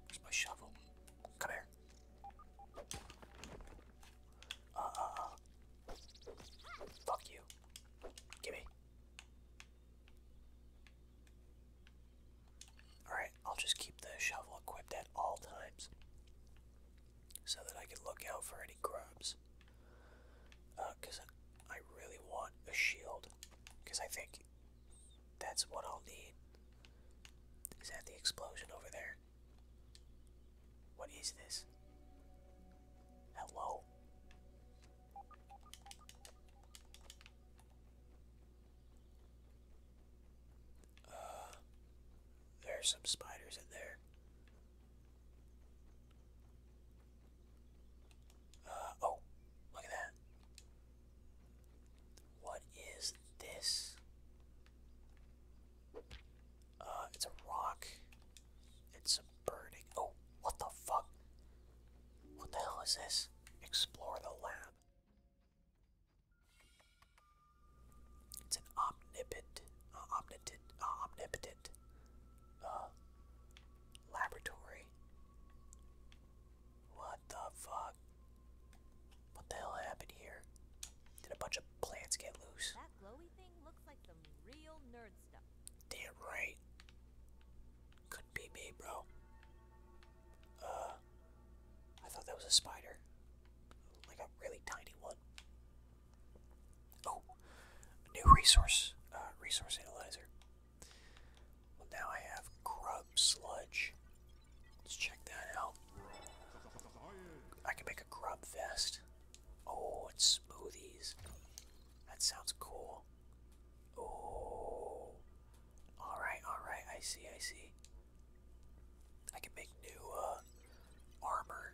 where's my shovel? Come here. Uh uh uh. Fuck you. Gimme. Alright, I'll just keep the shovel equipped at all times so that I can look out for any grubs. Because uh, I really want a shield, because I think that's what I'll need. Is that the explosion over there? What is this? Hello? Uh, there are some spiders in there. Uh, oh, look at that. What is this? Uh, it's a rock. It's some burning. Oh, what the fuck? What the hell is this? Explore the lab. It's an uh, uh, omnipotent, uh, omnipotent, omnipotent laboratory. What the fuck? What the hell happened here? Did a bunch of plants get loose? That glowy thing looks like some real nerd stuff. Damn right. could be me, bro. Uh, I thought that was a spider, like a really tiny one. Oh, new resource, uh, resource analyzer. now I have grub sludge. Let's check that out. I can make a grub vest. Oh, it's smoothies. That sounds cool. Oh, all right, all right. I see, I see. I can make new uh, armor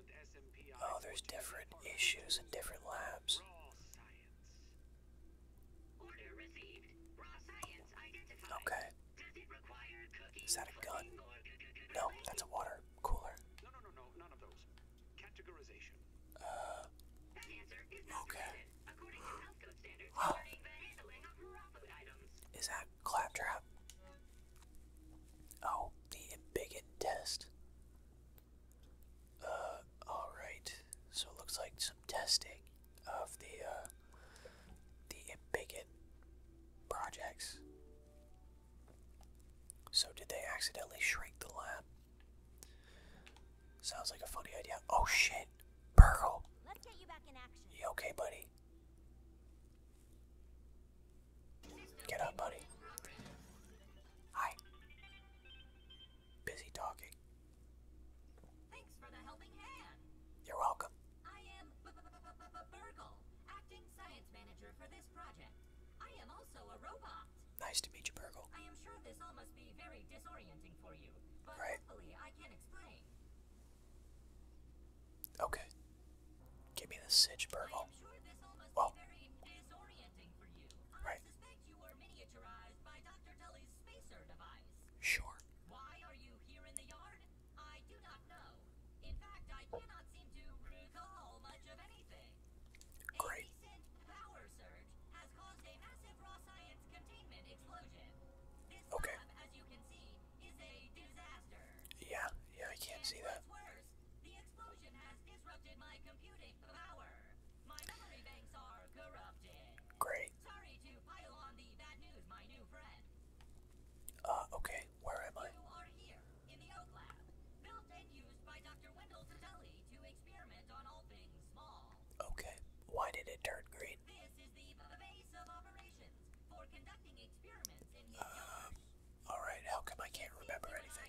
Oh, there's different issues in different labs. Okay. Is that a gun? No, that's a water cooler. Uh. Okay. Oh. Is that claptrap? Oh, the embiggen test. Uh, alright. So it looks like some testing of the, uh, the Embiggen projects. So did they accidentally shrink the lab? Sounds like a funny idea. Oh shit! Pearl! Let's get you back in action. You okay, buddy? Get up, buddy. Hi. Busy talking. Thanks for the helping hand. You're welcome. I am B -B -B -B -B Burgle, acting science manager for this project. I am also a robot. Nice to meet you, Burgle. I am sure this all must be very disorienting for you, but right. hopefully I can explain. Okay. Give me the sitch, Burgle. I am sure this all must well. be very Right. Sure. Why are you here in the yard? I do not know. In fact, I cannot seem to recall much of anything. Great. recent power surge has caused a massive raw science containment explosion. okay. Yeah, yeah, I can't see that. The explosion has disrupted my computing power. My memory banks are corrupted. Great. Sorry to pile on the bad news, my new friend. Uh, okay, where am I? You are here, in the Oak Lab, built and used by Dr. Wendell Satelli to experiment on all things small. Okay, why did it turn green? This is the base of operations for conducting experiments in um, Alright, how come I can't remember anything?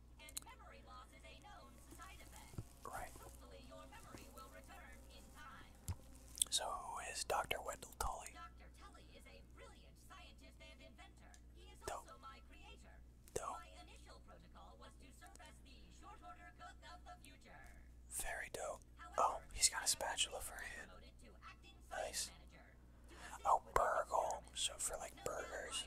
Right. So who is Dr. Wendell Tully? Tully is a brilliant scientist and inventor. He is also my creator. My initial protocol was to serve as the short order cook of the future. Very dope. oh, he's got a spatula for a Nice. Oh, burgle. So for like burgers.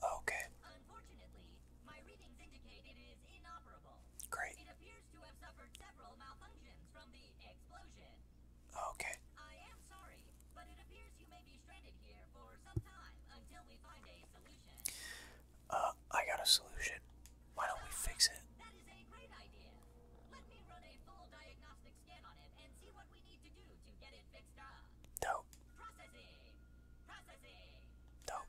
Okay. Unfortunately, my readings indicate it is inoperable. Great. It appears to have suffered several malfunctions from the explosion. Okay. I am sorry, but it appears you may be stranded here for some time until we find a solution. Uh, I got a solution. Why don't we fix it? That is a great idea. Let me run a full diagnostic scan on it and see what we need to do to get it fixed up. Dope. Processing. Processing. Dope.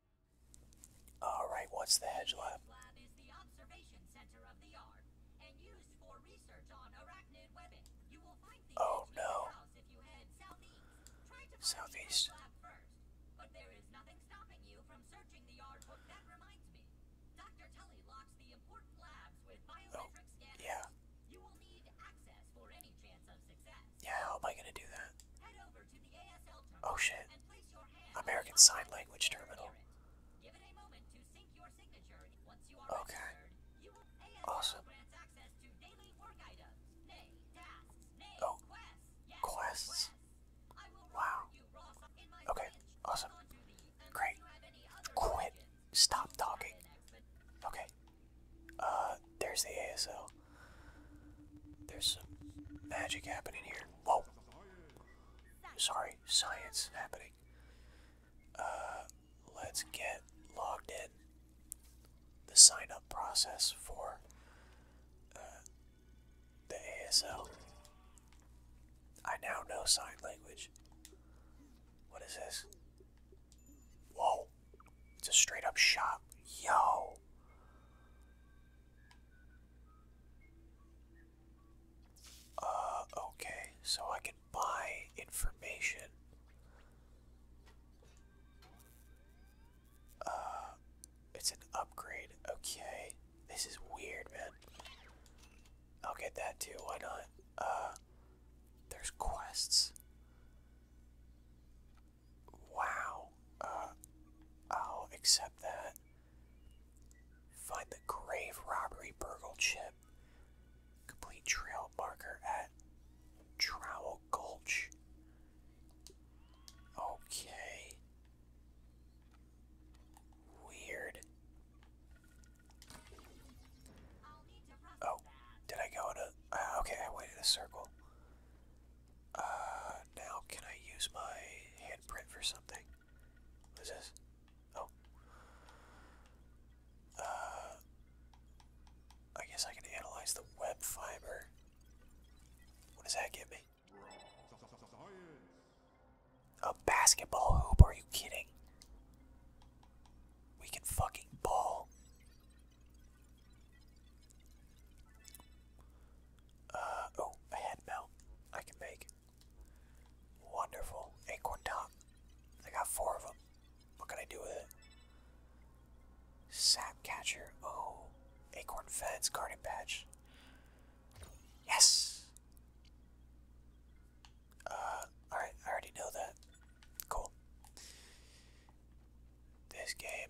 All right, what's the hedge lab? lab is the observation center of the yard and used for research on arachnid webbing. You will find the oh, no. if you head southeast. Try to first, but there is nothing stopping you from searching the yard book. That reminds me. Dr. Tully locks the important labs with biometric oh, Yeah. You will need access for any chance of success. Yeah, how am I gonna do that? oh shit. American Sign Language Terminal. okay. awesome. oh. quests. wow. okay, awesome. Great. Quit. Stop talking. Okay. Uh, there's the ASL. There's some magic happening here. Whoa! Sorry, science happening. Uh, let's get logged in. The sign up process for uh, the ASL. I now know sign language. What is this? Whoa! It's a straight up shop. Yo! Uh, okay, so I can buy information. Uh, it's an upgrade. Okay, this is weird, man. I'll get that too. Why not? Uh, there's quests. Wow. Uh, I'll accept that. Find the grave robbery burgle chip. Complete trail marker at Trowel Gulch. Okay. Weird. Oh, did I go to. Uh, okay, I waited a circle. Uh, now can I use my handprint for something? What is this? Oh. Uh, I guess I can analyze the web fiber. What does that give me? A basketball hoop? Are you kidding? We can fucking ball. Uh, oh, a head melt I can make. Wonderful. Acorn top. I got four of them. What can I do with it? Sap catcher. Oh, acorn fence, garden patch. Yes! Uh, alright, I already know that. Cool. This game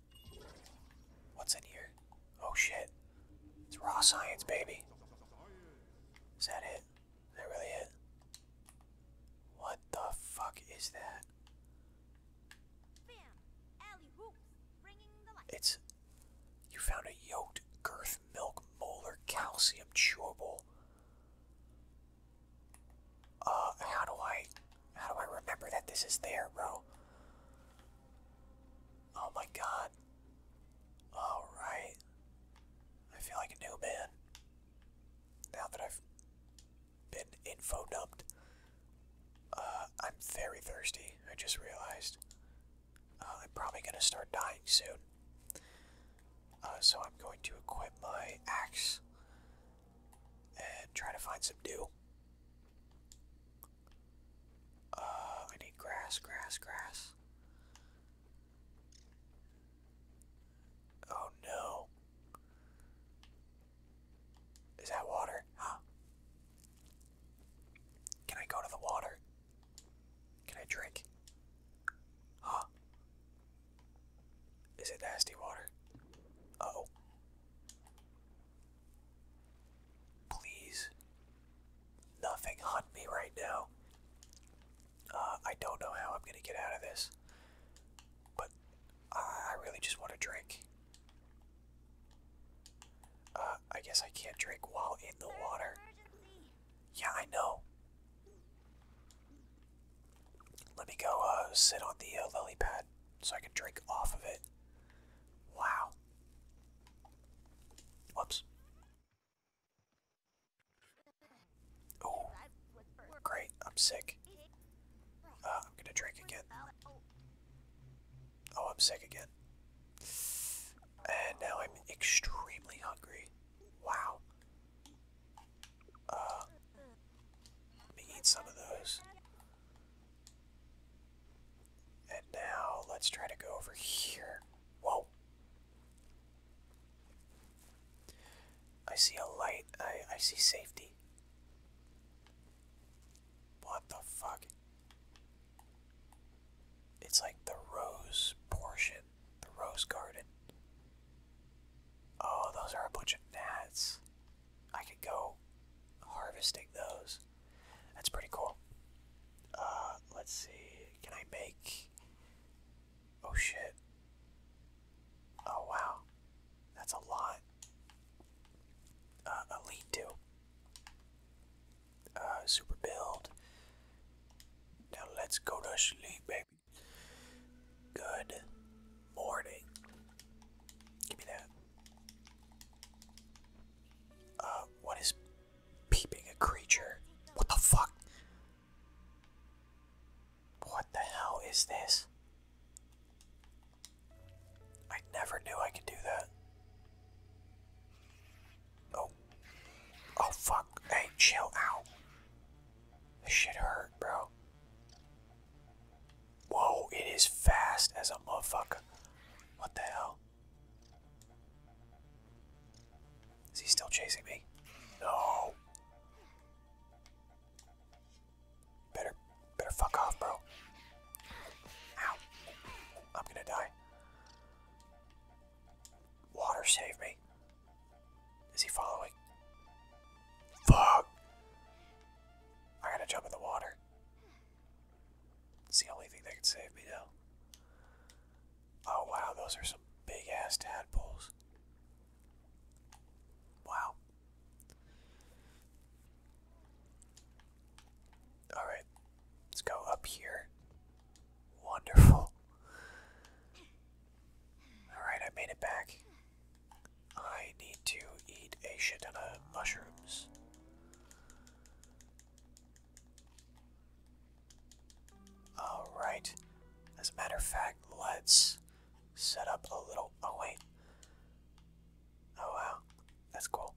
What's in here? Oh shit. It's raw science, baby. Is that it? Is that really it? What the fuck is that? It's. You found a yoked girth milk molar calcium chewable. Uh, how do I. How do I remember that this is there, bro? Oh my god. Alright. I feel like a new man. Now that I've been info dumped. Uh, I'm very thirsty, I just realized. Uh, I'm probably gonna start dying soon. Uh, so I'm going to equip my axe and try to find some dew. Uh, I need grass, grass, grass. Oh no. Is that water? Can I go to the water? Can I drink? Huh? Is it nasty water? oh. Please. Nothing hunt me right now. Uh, I don't know how I'm going to get out of this. But I really just want a drink. Uh, I guess I can't drink while in the water. Yeah, I know. Let me go uh, sit on the uh, lily pad so I can drink off of it. Wow. Whoops. Oh, great. I'm sick. Uh, I'm gonna drink again. Oh, I'm sick again. And now I'm extremely hungry. Wow. Uh, let me eat some of those. And now let's try to go over here. Whoa. I see a light. I, I see safety. What the fuck? It's like the rose portion, the rose garden. Oh, those are a bunch of gnats. I could go harvesting those. That's pretty cool. Uh, let's see. Can I make... Oh, shit. Oh, wow. That's a lot. Uh, a to Uh, super build. Now let's go to sleep, baby. Good morning. Give me that. Uh, what is peeping a creature? What the fuck? What the hell is this? I never knew I could do that. Oh. Oh fuck. Hey, chill out. This shit hurt, bro. Whoa, it is fast as a motherfucker. What the hell? Is he still chasing me? No. Better, better fuck off, bro. Ow. I'm gonna die. Water, save me. Is he following? Fuck! I gotta jump in the water. It's the only thing that can save me now. Oh wow, those are some big ass tadpoles. Wow. Alright, let's go up here. Wonderful. Alright, I made it back. I need to eat a shit of mushrooms. Alright. As a matter of fact, let's set up a little. Oh, wait. Oh, wow. That's cool.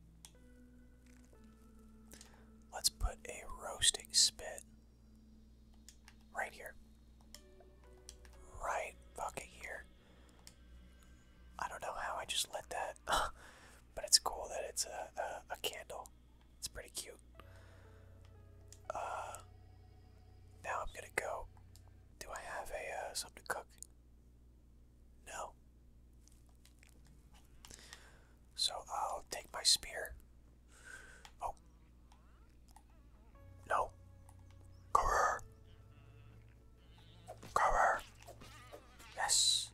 Let's put a roasting spit right here. Right fucking here. I don't know how I just let that, but it's cool that it's a, a, candle. It's pretty cute. Uh, now I'm gonna go. Do I have a uh, something to cook? No. So I'll take my spear. Oh. No. Grr. Cover. Yes.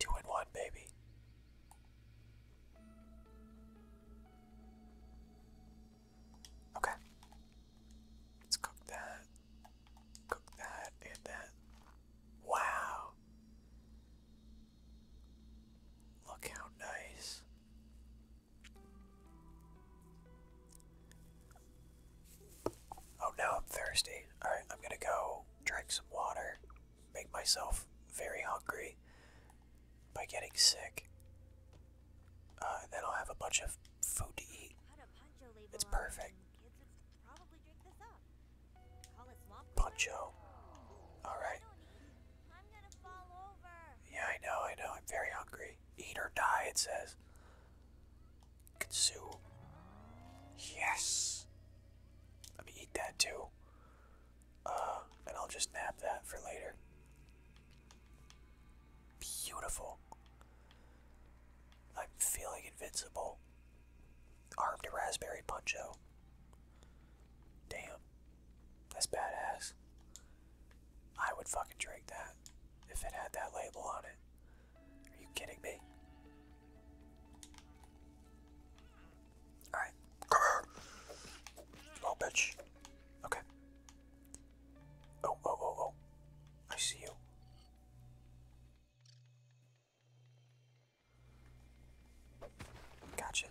Two and one, baby. Okay. Let's cook that. Cook that and that. Wow. Look how nice. Oh, now I'm thirsty. Alright, I'm gonna go drink some water, make myself very hungry by getting sick. Uh, and then I'll have a bunch of food to eat. It's perfect. Poncho. Alright. Yeah, I know, I know. I'm very hungry. Eat or die, it says. Katsu. Yes! Let me eat that too. Uh, and I'll just nab that for later. Beautiful. I'm feeling invincible. Armed Raspberry Puncho. Damn. That's badass. I would fucking drink that if it had that label on it. Are you kidding me? Alright, come here. Little oh, bitch. Okay. Oh, oh, oh, oh. I see you. Gotcha.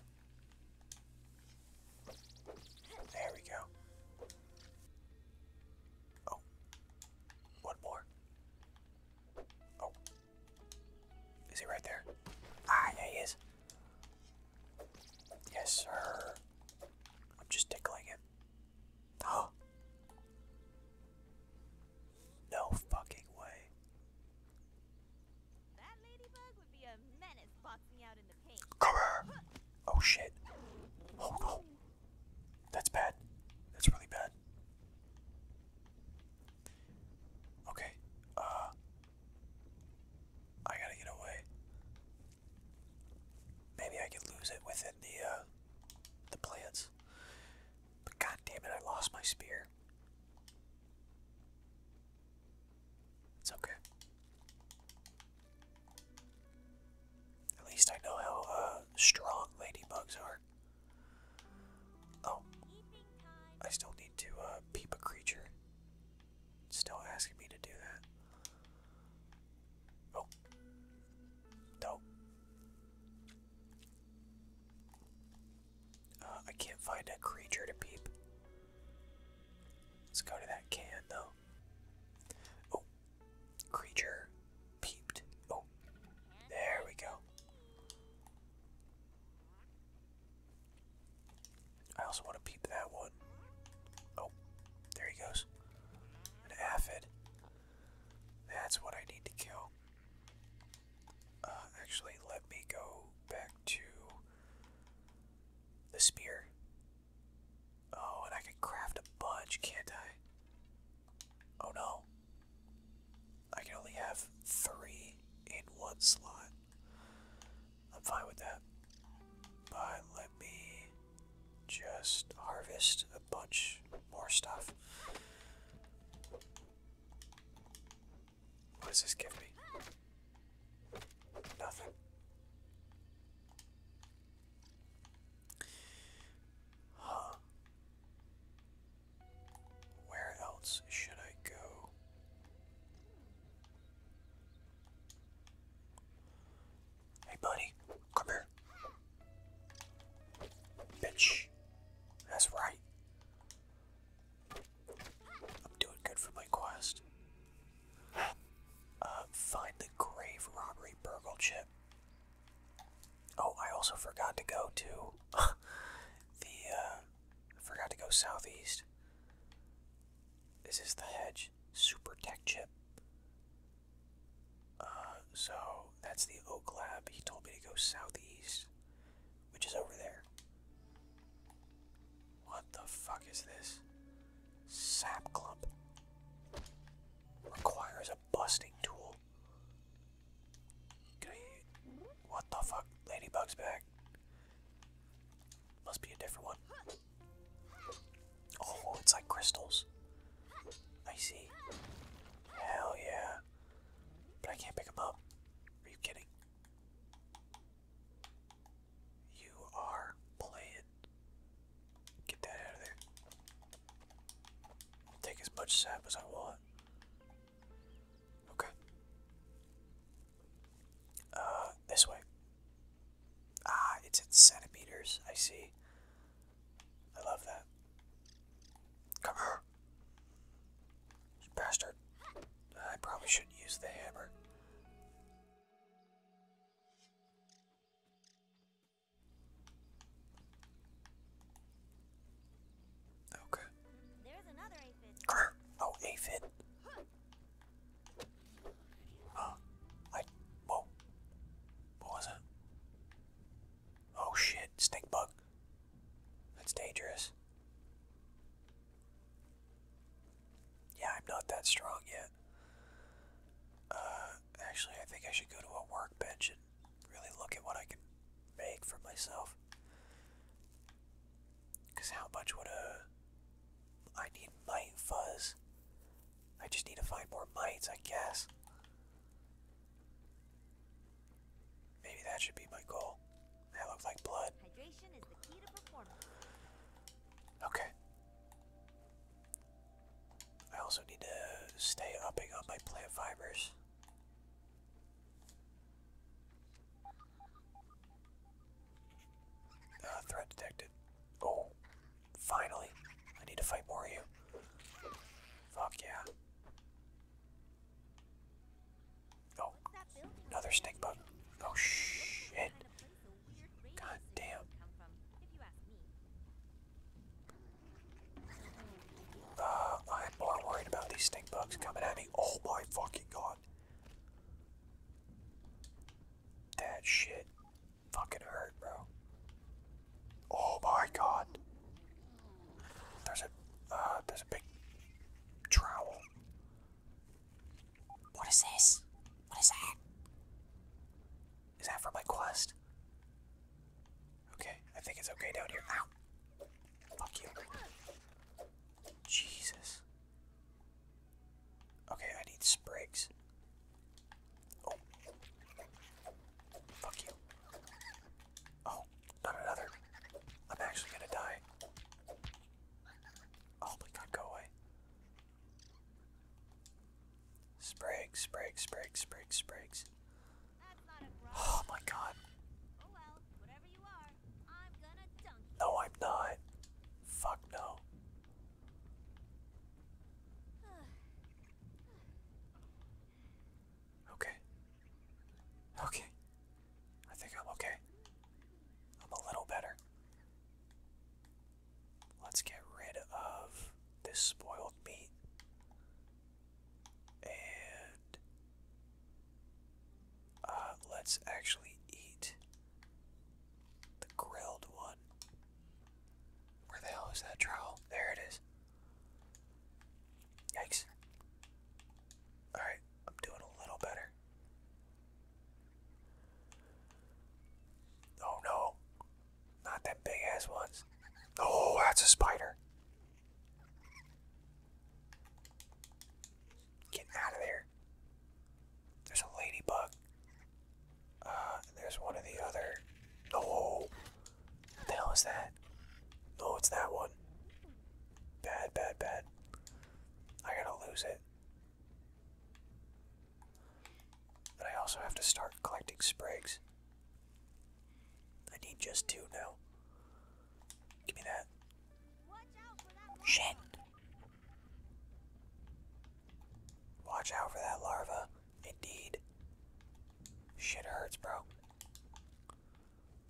There we go. Oh. more. Oh. Is he right there? Ah, yeah, he is. Yes, sir. I'm just tickling him. Oh. No fucking way. That Oh shit. Oh no. That's bad. That's really bad. Okay. Uh I gotta get away. Maybe I could lose it within the uh, the plants. But god it, I lost my spear. It's okay. At least I know how uh, strong ladybugs are. Oh, I still need to uh, peep a creature. still asking me to do that. Oh, no. Uh, I can't find a creature to peep. Let's go to that can though. Oh, creature peeped. Oh, there we go. I also want to peep that one. Oh, there he goes. An aphid. That's what I need to kill. Uh, actually, let me go back to the spear. Oh, and I can craft a bunch, can't I? Oh no. I can only have three in one slot. I'm fine with that. But let me just harvest a bunch more stuff. What does this give me? Nothing. Where else should I go? Hey, buddy, come here. Bitch, that's right. I'm doing good for my quest. Uh, find the grave robbery burgle chip. Oh, I also forgot to go to the. Uh, forgot to go southeast. This is the hedge super tech chip. Uh, so that's the oak lab. He told me to go southeast, which is over there. What the fuck is this? Sap clump requires a busting tool what the fuck? Ladybug's back. Must be a different one. Oh, it's like crystals. I see. Hell yeah. But I can't pick them up. Are you kidding? You are playing. Get that out of there. take as much sap as I want. Okay. Uh, this way. Ah, it's at centimeters. I see. I love that. Come here. Bastard. I probably shouldn't use the hammer. Okay. There's aphid. Oh, aphid. Uh, whoa. What was it? Oh shit, stink bug. That's dangerous. Yeah, I'm not that strong yet. Uh, actually, I think I should go to a workbench and really look at what I can make for myself. Because how much would a... I need mite fuzz. I just need to find more mites, I guess. Maybe that should be my goal. That looks like blood. Okay. I also need to stay upping on my plant fibers. Uh, threat detected. Oh, finally. I need to fight more of you. Fuck yeah. Oh, another stink bug. Oh shit. God damn. Uh, I'm more worried about these stink bugs coming at me. Oh my fucking god. That shit fucking hurt, bro. Oh my god. There's a, uh, there's a big trowel. What is this? What is that? Is that for my quest? Okay, I think it's okay down here. Ow! Fuck you. Jesus. Okay, I need sprigs. Oh. Fuck you. Oh, not another. I'm actually gonna die. Oh my god, go away. Sprigs, sprigs, sprigs, sprigs, sprigs. Oh my god. No, I'm not. Fuck no. Okay. Okay. I think I'm okay. I'm a little better. Let's get rid of this spoiled meat. And uh, let's actually eat the grilled one. Where the hell is that trowel? There it is. Yikes. Alright, I'm doing a little better. Oh no, not them big ass ones. Oh, that's a spider. Get out of there. There's a ladybug. Uh, there's one of the other. No! what the hell is that? No, it's that one. Bad, bad, bad. I gotta lose it. But I also have to start collecting sprigs. I need just two now. Give me that. Shit! Watch out for that larva. Indeed. Shit hurts, bro.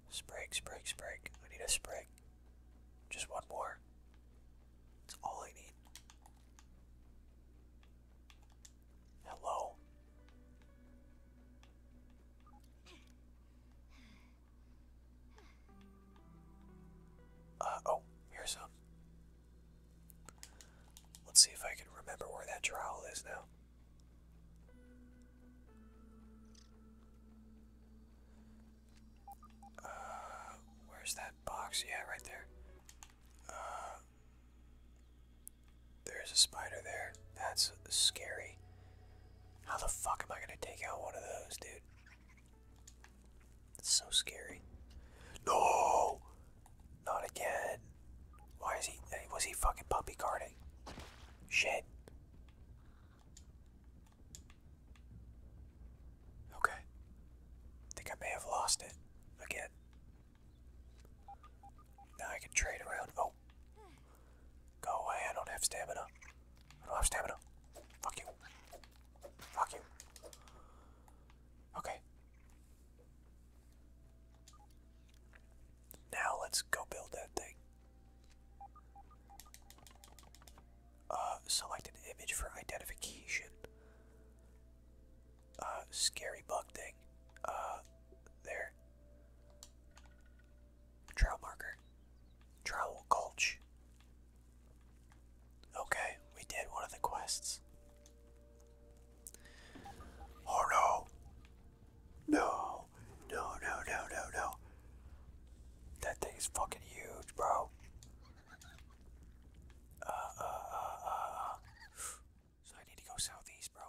Sprig, sprig, sprig. I need a sprig. Just one more. That's all I need. Hello. Uh, oh, here's some. Let's see if I can remember where that trowel is now. Uh, where's that box? Yeah, right there. Uh, there's a spider there. That's scary. How the fuck am I gonna take out one of those, dude? It's so scary. No! Not again. Why is he. Was he fucking puppy guarding? Shit. Okay. think I may have lost it again. Now I can trade around. Oh, Go. away, I don't have stamina. I don't have stamina. Fuck you. Fuck you. Okay. Now let's go build that thing. Uh, select image for identification. Uh, scary bug thing. Uh, there. Trail marker. Trail Gulch. Okay, we did one of the quests. Oh no! No! No, no, no, no, That thing is fucking huge, bro. Uh, uh, uh, uh, uh. So I need to go southeast, bro.